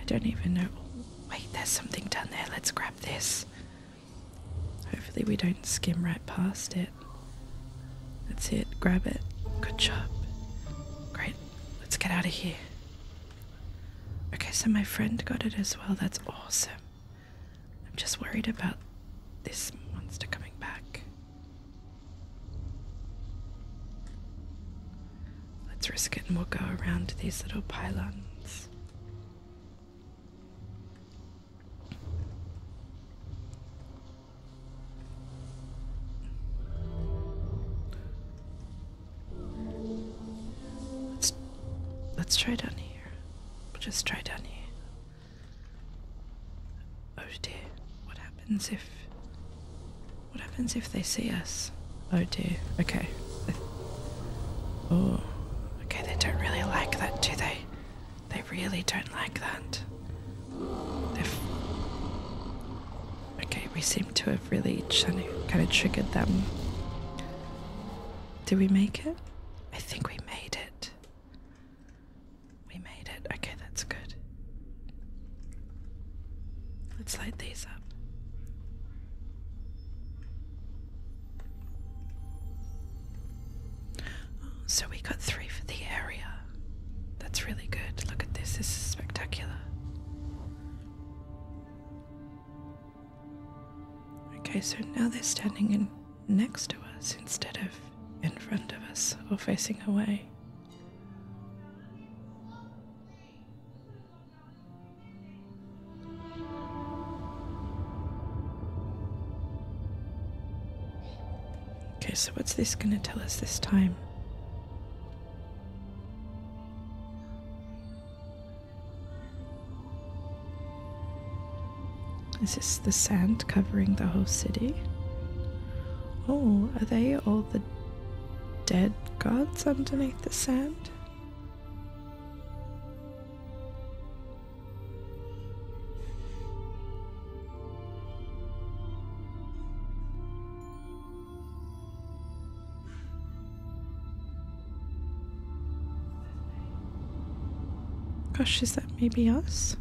I don't even know. wait, there's something down there. Let's grab this. Hopefully, we don't skim right past it. That's it. Grab it. Good job. Great. Let's get out of here. Okay, so my friend got it as well. That's awesome. I'm just worried about this monster coming back. Let's risk it and we'll go around to these little pylons. Let's let's try down here. We'll just try down here. Oh dear, what happened? happens if what happens if they see us? Oh dear. Okay. Oh. Okay, they don't really like that, do they? They really don't like that. they Okay, we seem to have really kind of triggered them. Did we make it? I think we made it. We made it. Okay, that's good. Let's light these up. Oh, so we got three for the area. That's really good. Look at this, this is spectacular. Okay, so now they're standing in next to us instead of in front of us or facing away. Okay, so what's this going to tell us this time? Is this the sand covering the whole city? Oh, are they all the dead gods underneath the sand? Gosh, is that maybe us?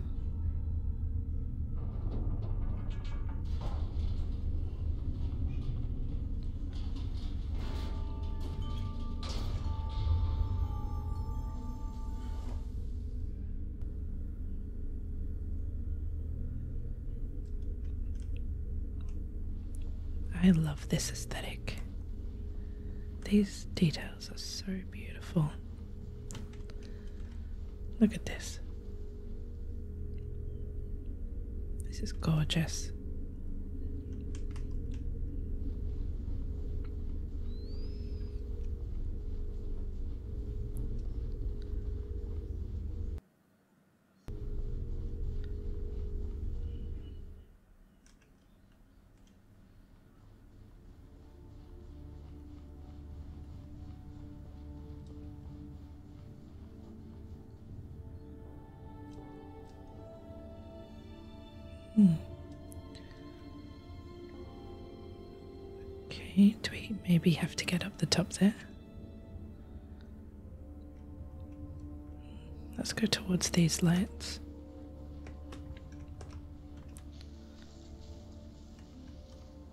I love this aesthetic. These details are so beautiful. Look at this. This is gorgeous. Okay, do we maybe have to get up the top there? Let's go towards these lights.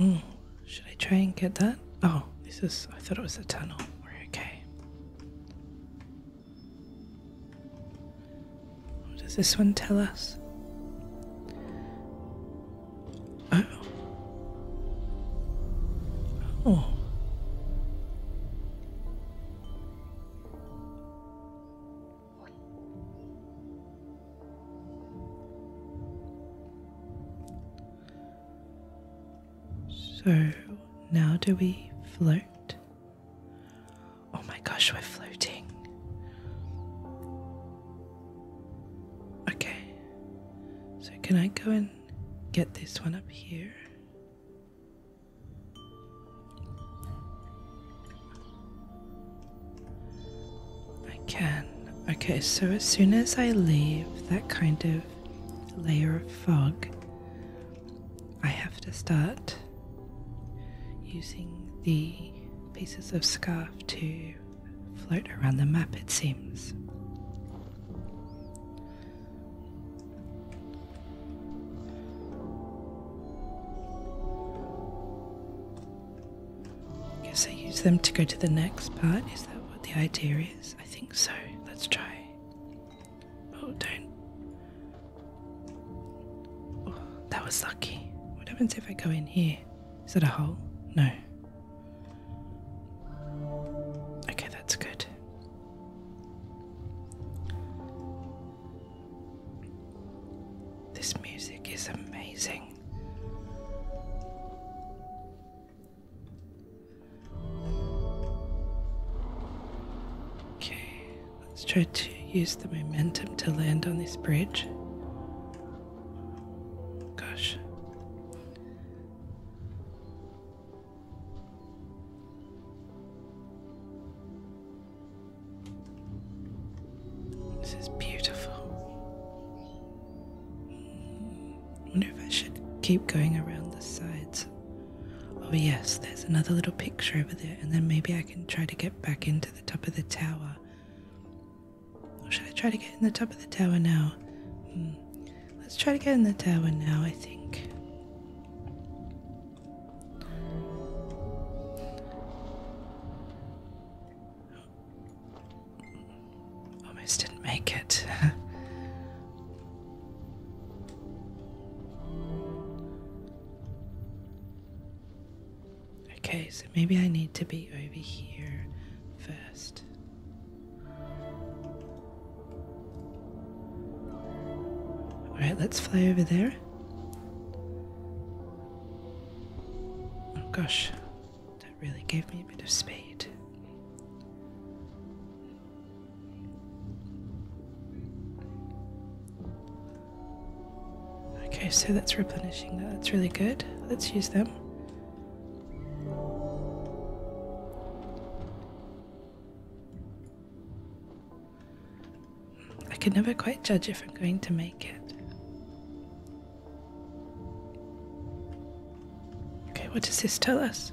Oh, should I try and get that? Oh, this is. I thought it was a tunnel. We're okay. What does this one tell us? Oh. Oh. So now do we float? Oh my gosh, we're floating. Okay, so can I go and get this one up here? I can. Okay, so as soon as I leave that kind of layer of fog, I have to start using the pieces of scarf to float around the map, it seems. I guess I use them to go to the next part. Is that what the idea is? I think so. Let's try. Oh, don't. Oh, that was lucky. What happens if I go in here? Is that a hole? No. Okay, that's good. This music is amazing. Okay, let's try to use the momentum to land on this bridge. Gosh. This is beautiful. I wonder if I should keep going around the sides. Oh, yes, there's another little picture over there, and then maybe I can try to get back into the top of the tower. should I try to get in the top of the tower now? Hmm. Let's try to get in the tower now, I think. Almost didn't make it. okay, so maybe I need to be over here first. Alright, let's fly over there. Oh gosh. That really gave me a bit of spade. Okay, so that's replenishing that. That's really good. Let's use them. I could never quite judge if I'm going to make Okay, what does this tell us?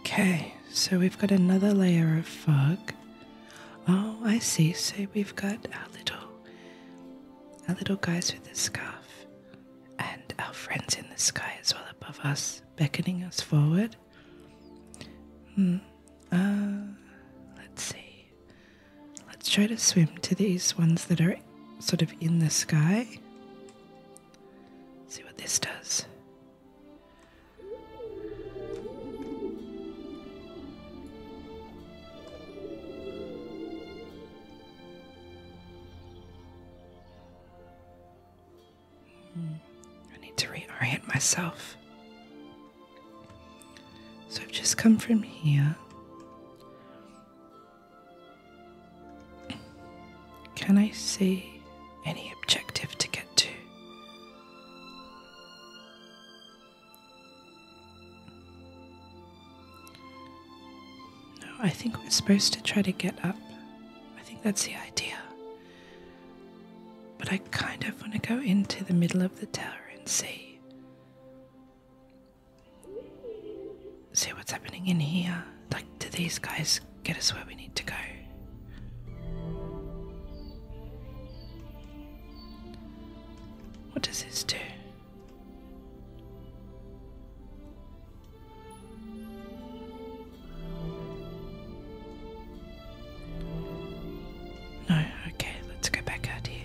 Okay, so we've got another layer of fog. Oh, I see. So we've got our little, our little guys with the scarf, and our friends in the sky as well above us, beckoning us forward. Hmm, uh, let's see. Let's try to swim to these ones that are sort of in the sky. See what this does. Hmm. I need to reorient myself. So I've just come from here. Can I see any objective to get to? No, I think we're supposed to try to get up. I think that's the idea. But I kind of want to go into the middle of the tower and see. See what's happening in here. Like, do these guys get us where we need to go. What does this do? No, okay, let's go back out here.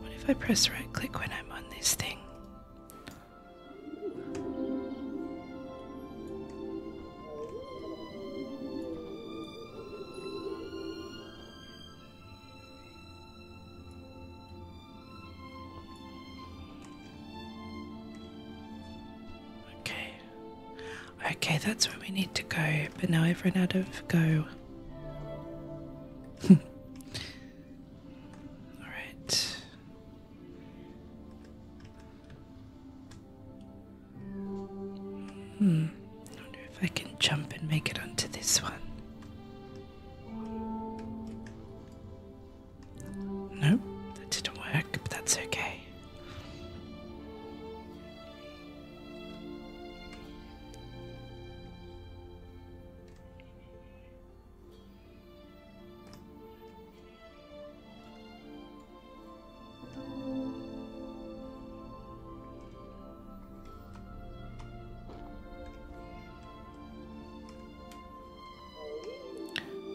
What if I press right click when I'm on this thing? Okay. Okay, that's where we need to go, but now I've run out of go. Alright. Hmm. I wonder if I can jump and make it onto this one. Nope, that didn't work, but that's okay.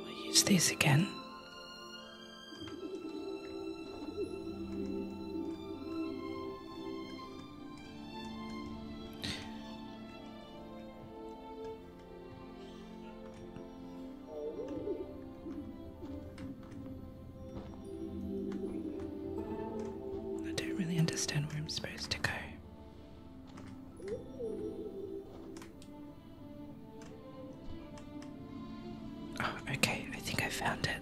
We'll use these again. I don't really understand where I'm supposed to go. Oh, okay, I think I found it.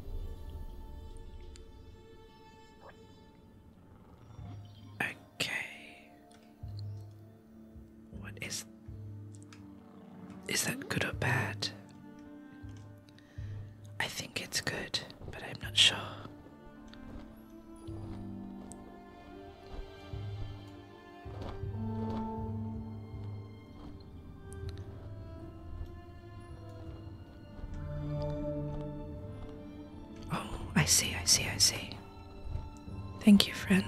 Okay. What is. Is that good or bad? I think it's good, but I'm not sure. Oh, I see, I see, I see. Thank you, friend.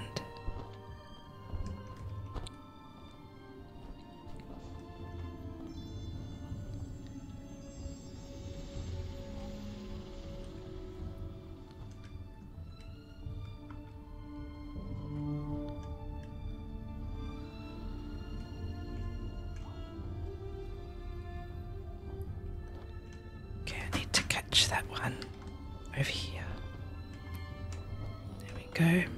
Okay, I need to catch that one over here. There we go.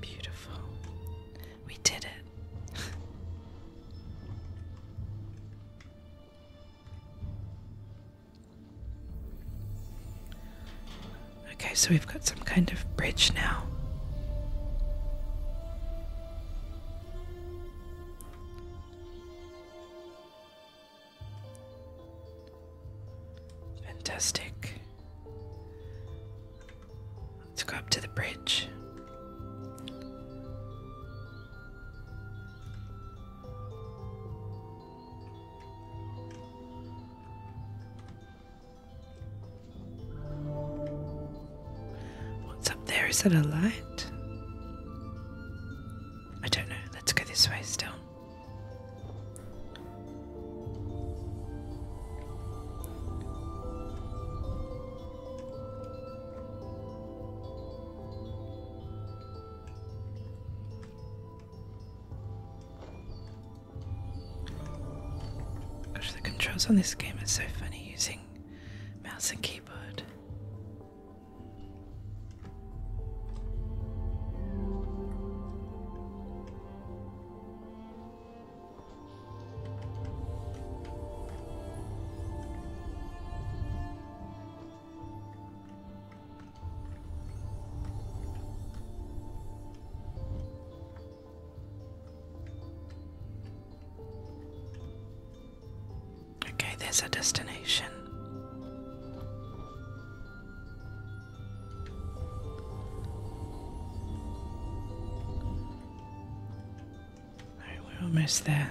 Beautiful. We did it. Okay, so we've got some kind of bridge now. Fantastic. Let's go up to the bridge. What's up there? Is that a light? I don't know. Let's go this way still. Gosh, the controls on this game are so funny using mouse and keyboard. Okay, there's our destination. Alright, we're almost there.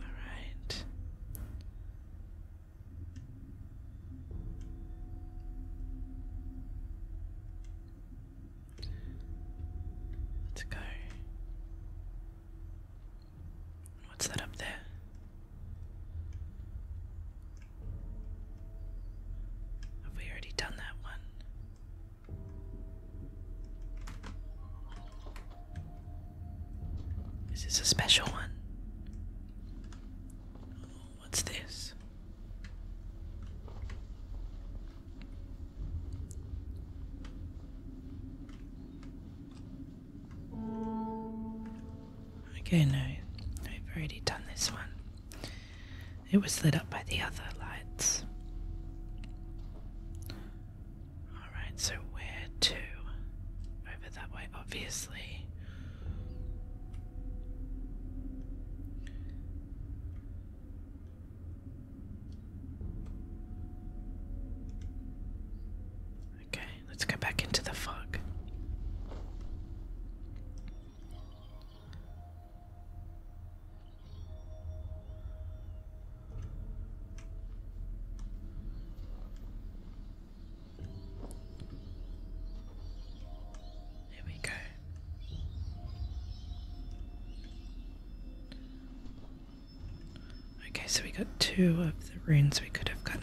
All right. Let's go. What's that up there? Have we already done that one? Is this a special one? what's this? Okay, no, I've already done this one. It was lit up by the other lights. Alright, so where to? Over that way, obviously. Okay, let's go back into the fog. There we go. Okay, so we got two of the runes we could have gotten.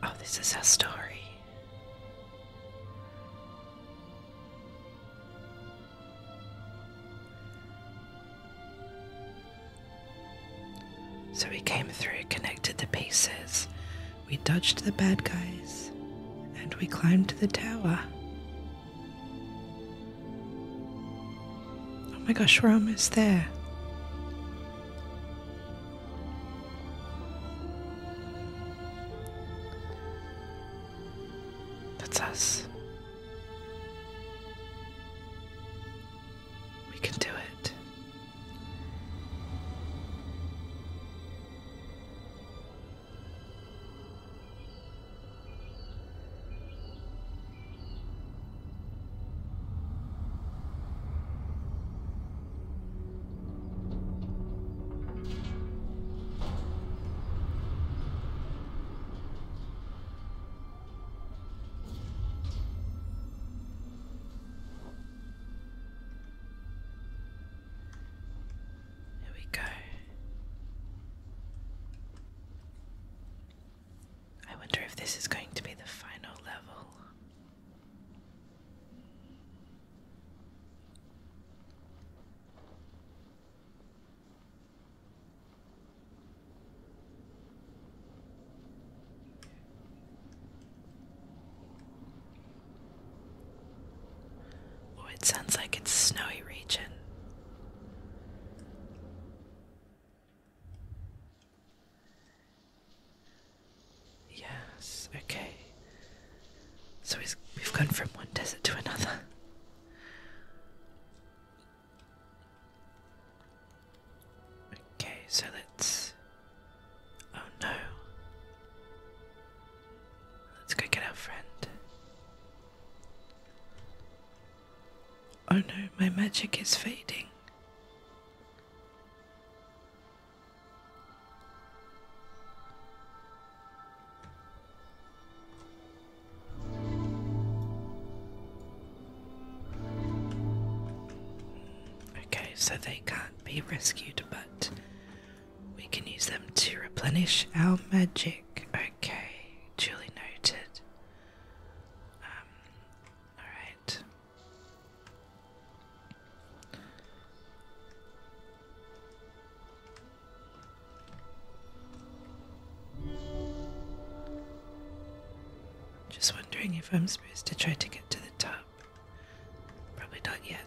Oh, this is our story. So we came through, connected the pieces, we dodged the bad guys, and we climbed the tower. Oh my gosh, we're almost there. That's us. We can do it. There we go. I wonder if this is going to be the final level. Oh, it sounds like it's snowy region. Yes, okay. So we've gone from one desert to another. Okay, so let's. Oh no. Let's go get our friend. Oh no, my magic is fading. Okay, so they can't be rescued, but we can use them to replenish our magic. Okay, duly noted. Um, alright. Just wondering if I'm supposed to try to get to the top. Probably not yet.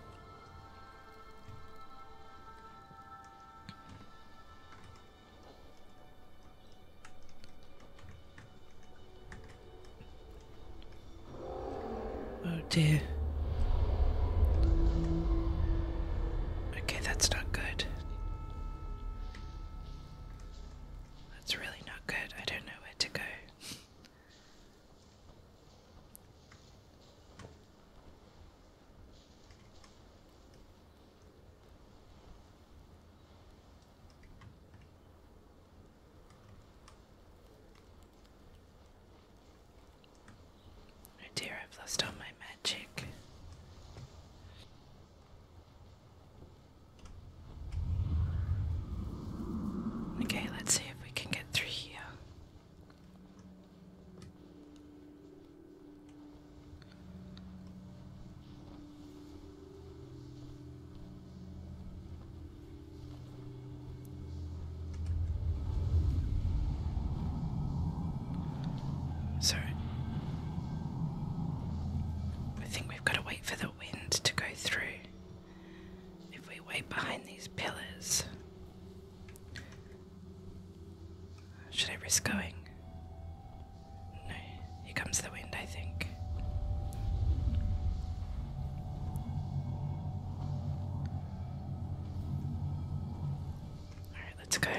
Oh dear. Okay, that's not good. That's really not good. I don't know where to go. Oh dear, I've lost all my magic. Okay, let's see if we can get through here. So, I think we've got to wait for the wind to go through. If we wait behind these pillars, should I risk going? No, here comes the wind, I think. Alright, let's go.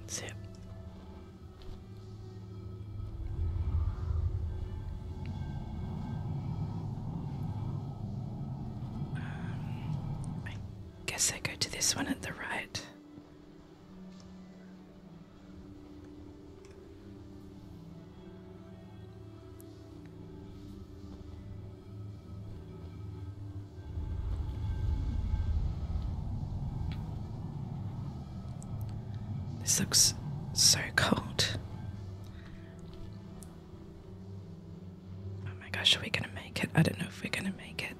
That's it. Um, I guess I go to this one at the right. This looks so cold. Oh my gosh, are we gonna make it? I don't know if we're gonna make it.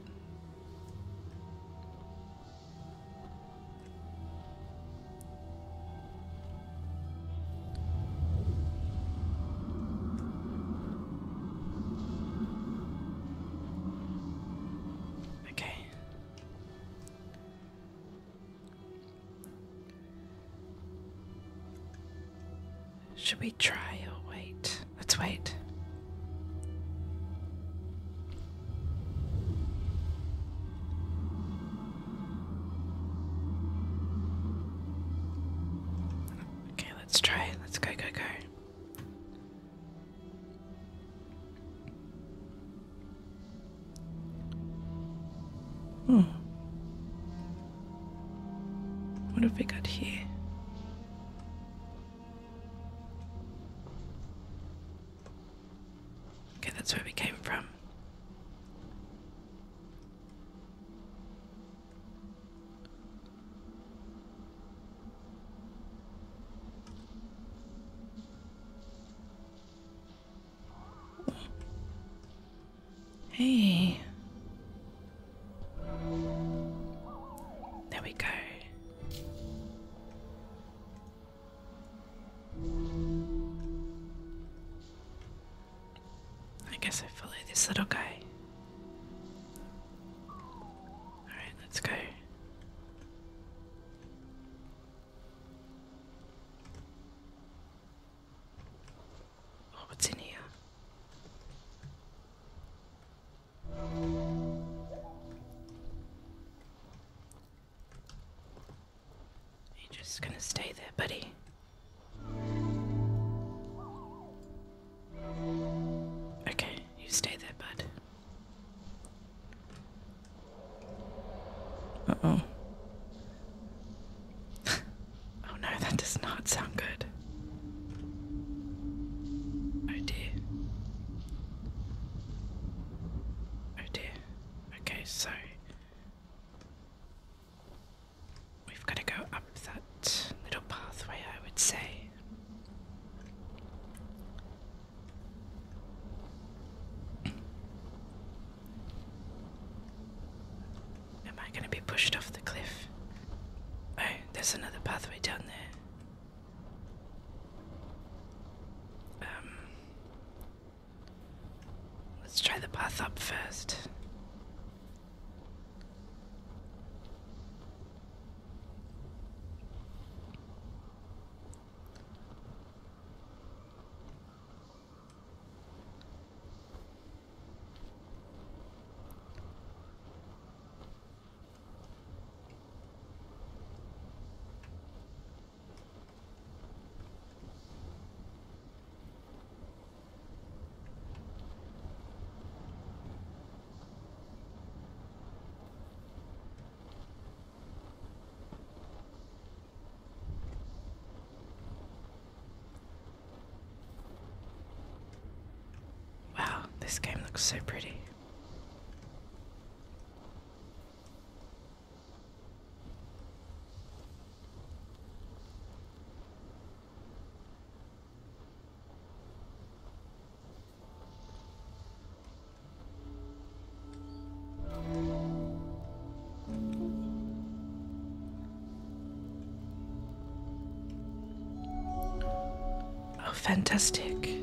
Okay. Should we try or wait? Let's wait. Okay, let's try it. Let's go, go, go. Hmm. What have we got here? Okay, that's where we came from. Hey. There we go. I guess I follow this little guy. Alright, let's go. Oh, what's in here? You're just gonna stay there, buddy. Okay, you stay there, bud. Uh oh. oh no, that does not sound good. Oh dear. Oh dear. Okay, so we've got to go up that little pathway, I would say. Am I going to be pushed off the cliff? Oh, there's another pathway down there. Um, let's try the path up first. Wow, this game looks so pretty. Oh, fantastic.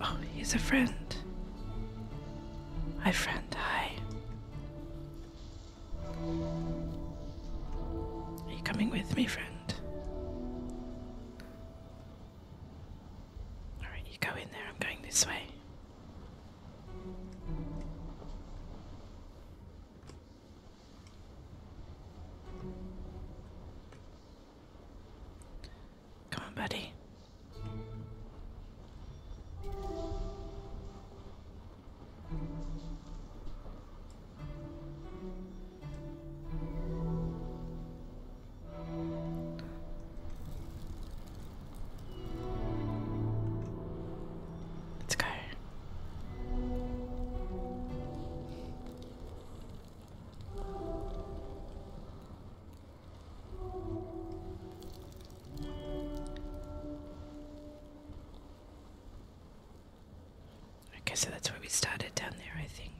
Oh, he's a friend. My friend. Hi. Are you coming with me, friend? Alright, you go in there. I'm going this way. Come on, buddy. Let's go. Okay, so that's where we started down there, I think.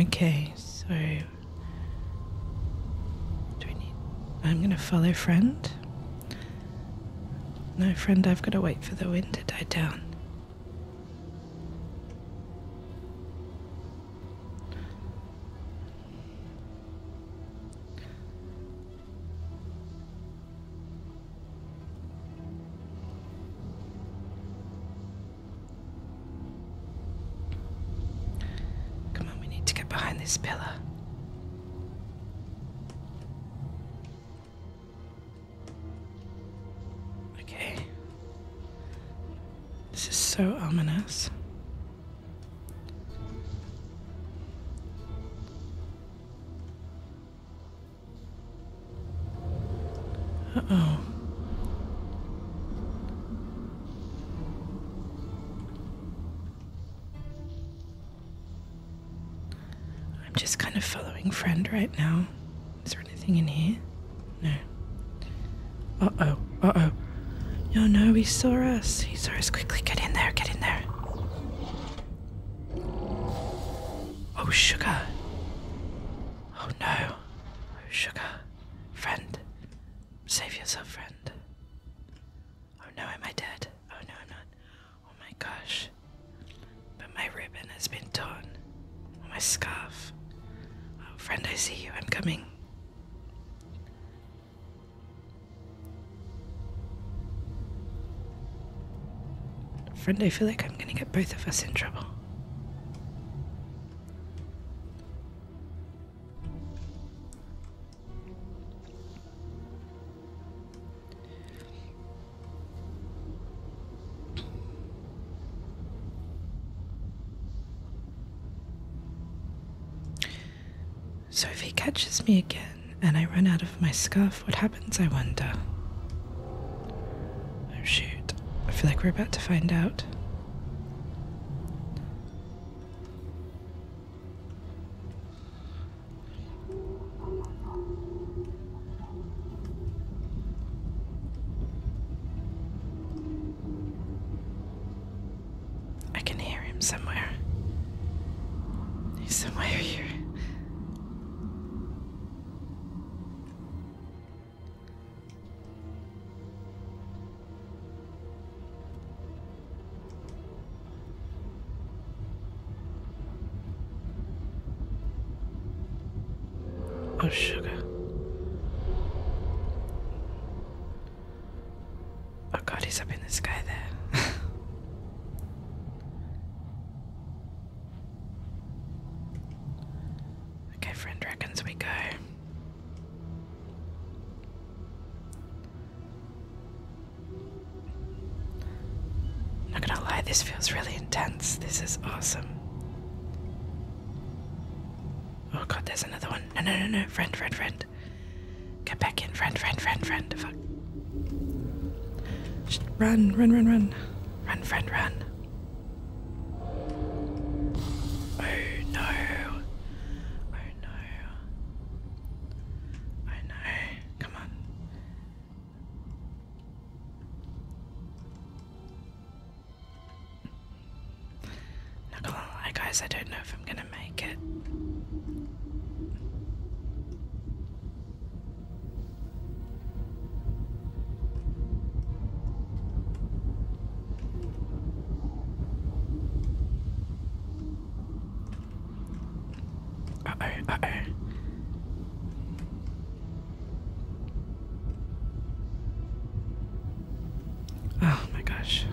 Okay, so I'm gonna follow friend. No, friend, I've got to wait for the wind to die down. Come on, we need to get behind this pillar. Okay. This is so ominous. Uh-oh. I'm just kind of following friend right now. Is there anything in here? No. Uh-oh. Uh-oh. Oh no, he saw us. He saw us. Quickly, get in there. Get in there. Oh, sugar. Oh no. Oh, sugar. Friend. Save yourself, friend. Oh no, am I dead? Oh no, I'm not. Oh my gosh. But my ribbon has been torn. Oh, my scarf. Oh, friend, I see you. I'm coming. Friend, I feel like I'm gonna get both of us in trouble. So if he catches me again, and I run out of my scuff. what happens, I wonder? Oh shoot, I feel like we're about to find out. I can hear him somewhere. He's somewhere here. Oh, sugar. Oh, God, he's up in the sky there. Okay, friend reckons we go. Not gonna lie, this feels really intense. This is awesome. Oh god, there's another one. No, no, no, no. Friend, friend, friend. Get back in. Friend, friend, friend, friend. Fuck run, run, run, run. Run, friend, run. Oh no. Oh no. Oh no. Come on. Not gonna lie, guys, I don't know if I'm gonna make it. Uh oh, uh Oh my gosh.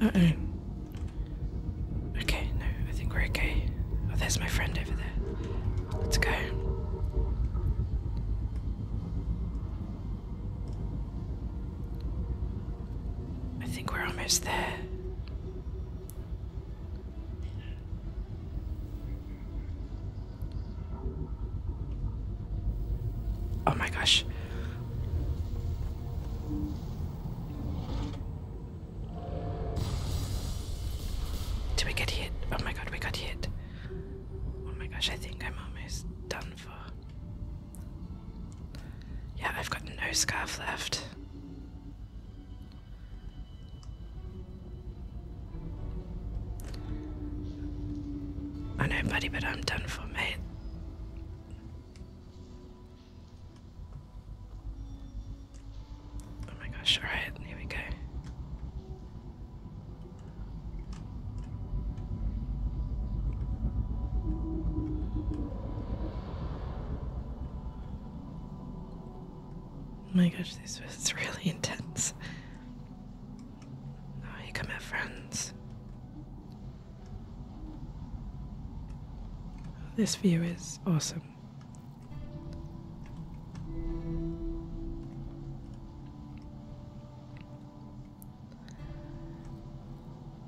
Uh-oh. Okay, no, I think we're okay. Oh, there's my friend over there. Let's go. I think we're almost there. Oh my gosh. Did we get hit? Oh my god, we got hit. Oh my gosh, I think I'm almost done for. Yeah, I've got no scarf left. I know, buddy, but I'm done for, mate. Oh my gosh, alright, here we go. Oh my gosh, this is really intense. Oh, here come our friends. This view is awesome.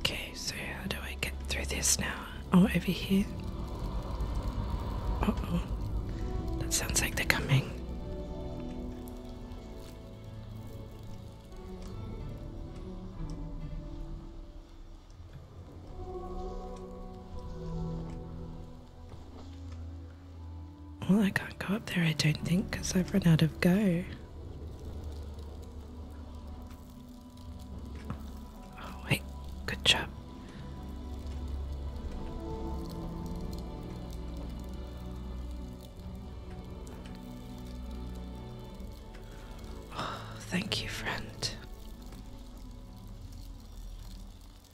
Okay, so how do I get through this now? Oh, over here? oh. That sounds like they're coming. Well, I can't go up there, I don't think, because I've run out of go. Oh, wait, good job. Oh, thank you, friend.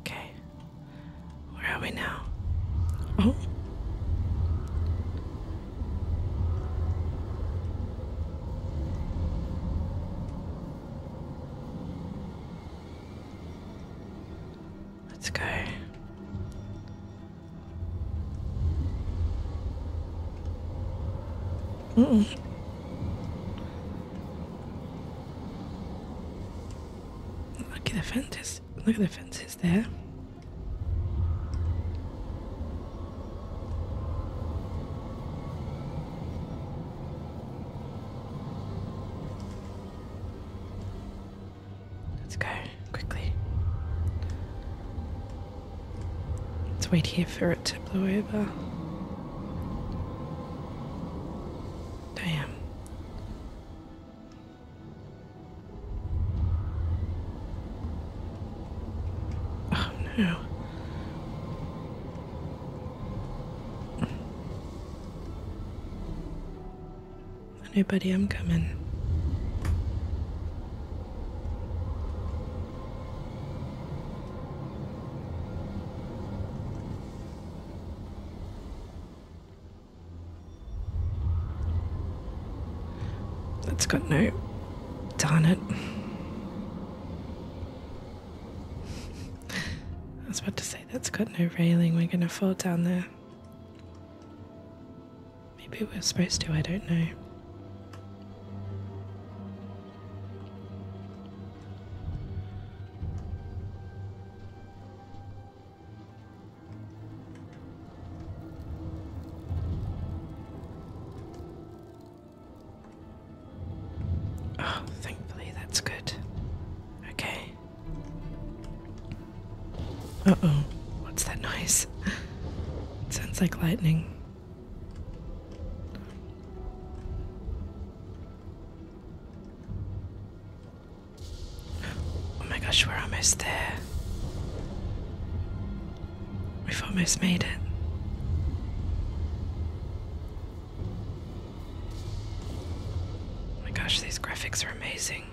Okay. Where are we now? Oh. Let's go. Mm. Look at the fences. Look at the fences there. Let's go quickly. Let's wait here for it to blow over. Damn. Oh no. Hey, buddy, I'm coming. That's got no. Darn it. I was about to say, that's got no railing, we're gonna fall down there. Maybe we're supposed to, I don't know. Oh, thankfully that's good. Okay. Uh oh, what's that noise? sounds like lightning. Oh my gosh, we're almost there. We've almost made it. Oh my gosh, these graphics are amazing.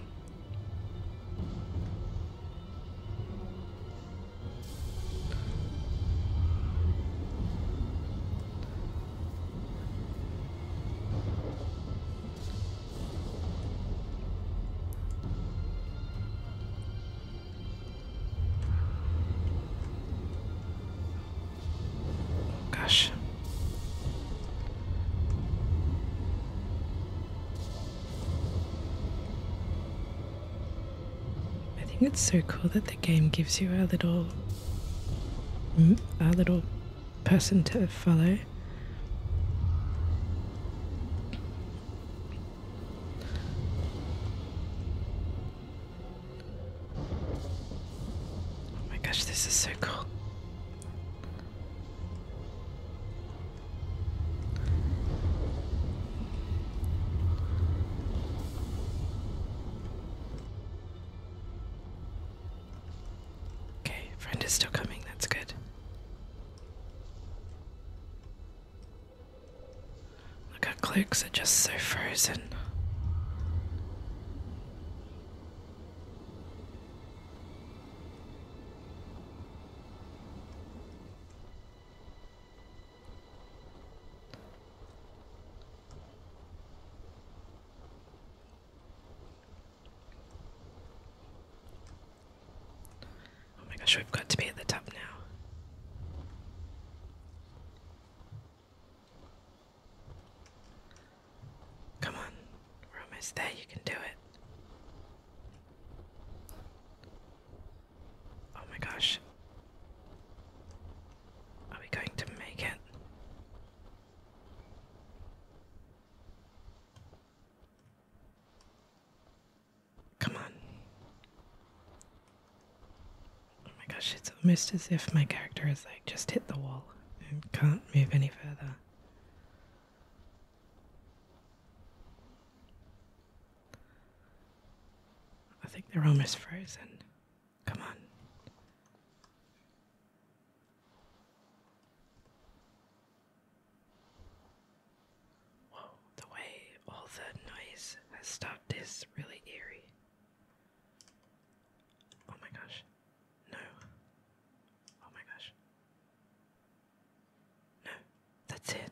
Gosh, I think it's so cool that the game gives you a little mm, a little person to follow. Oh my gosh, this is so cool. Okay, friend is still coming, that's good. Look how clicks are just so frozen. Oh my gosh, we've got to be at the top now. Come on, we're almost there, you can do it. Oh my gosh. Are we going to make it? Come on. Oh my gosh, it's almost as if my character is like just hit the wall and can't move any further. I think the room is frozen. Come on. Whoa, the way all the noise has stopped is really eerie. Oh my gosh. No. Oh my gosh. No, that's it.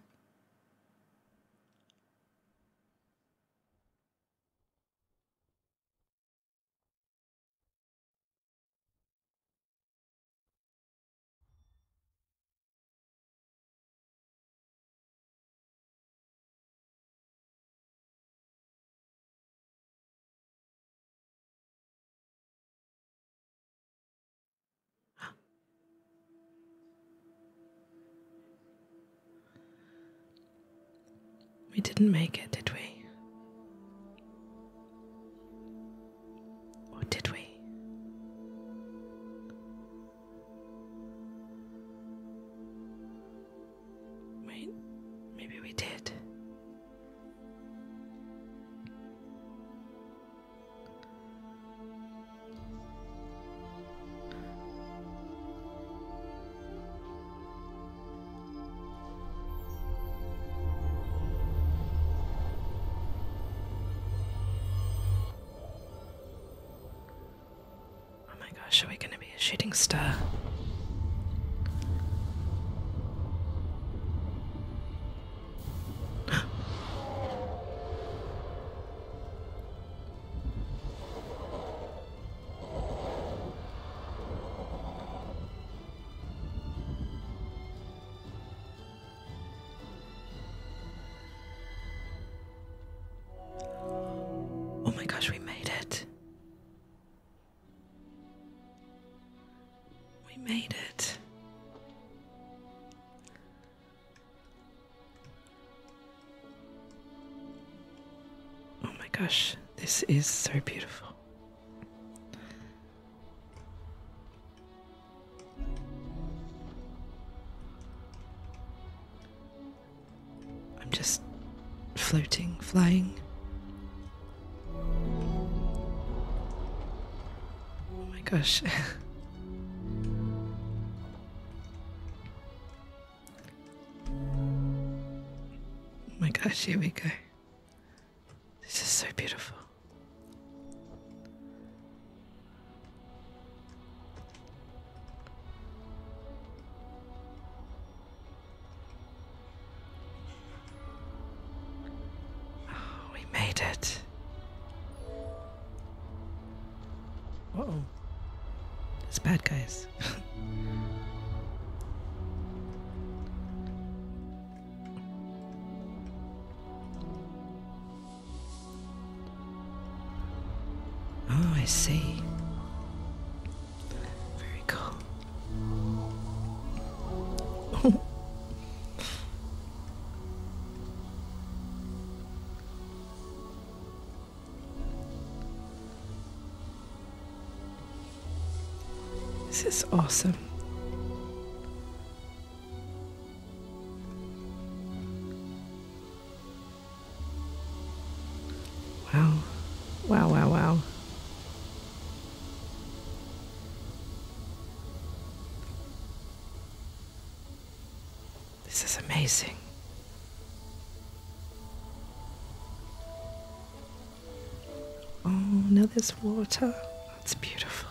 We didn't make it, did we? Or did we? Wait, maybe we did. Oh my gosh, are we going to be a shooting star? oh my gosh, we made it. We made it. Oh my gosh, this is so beautiful. I'm just floating, flying. Oh my gosh. oh my gosh, here we go. This is so beautiful. Oh, we made it. oh. It's bad guys. oh, I see. Very cool. This is awesome. Wow. Wow, wow, wow. This is amazing. Oh, now there's water. That's beautiful.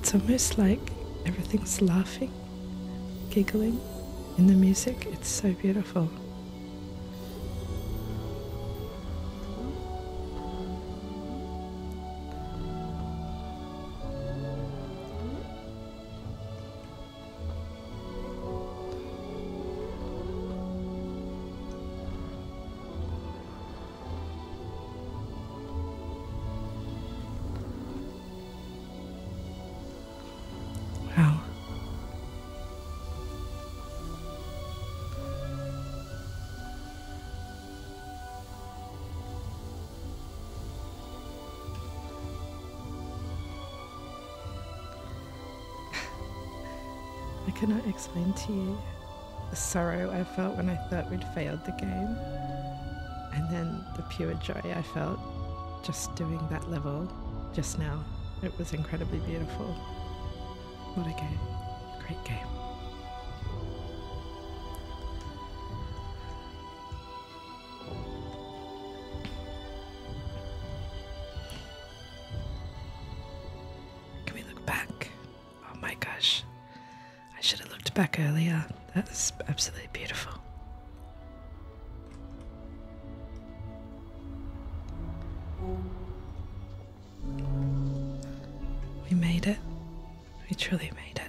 It's almost like everything's laughing giggling in the music. It's so beautiful. Wow. I cannot explain to you the sorrow I felt when I thought we'd failed the game. And then the pure joy I felt just doing that level just now. It was incredibly beautiful. What a game. Great game. Can we look back? Oh my gosh. I should have looked back earlier. That is absolutely beautiful. We made it. We truly made it.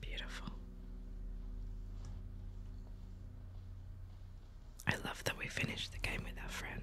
Beautiful. I love that we finished the game with our friend.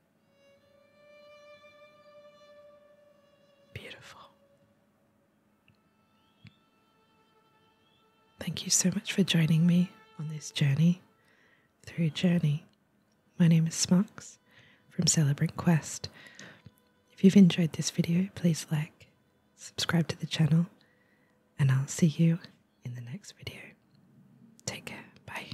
Beautiful. Thank you so much for joining me on this journey through Journey. My name is Smox from Celebrant Quest. If you've enjoyed this video, please like, subscribe to the channel, and I'll see you in the next video. Take care. Bye.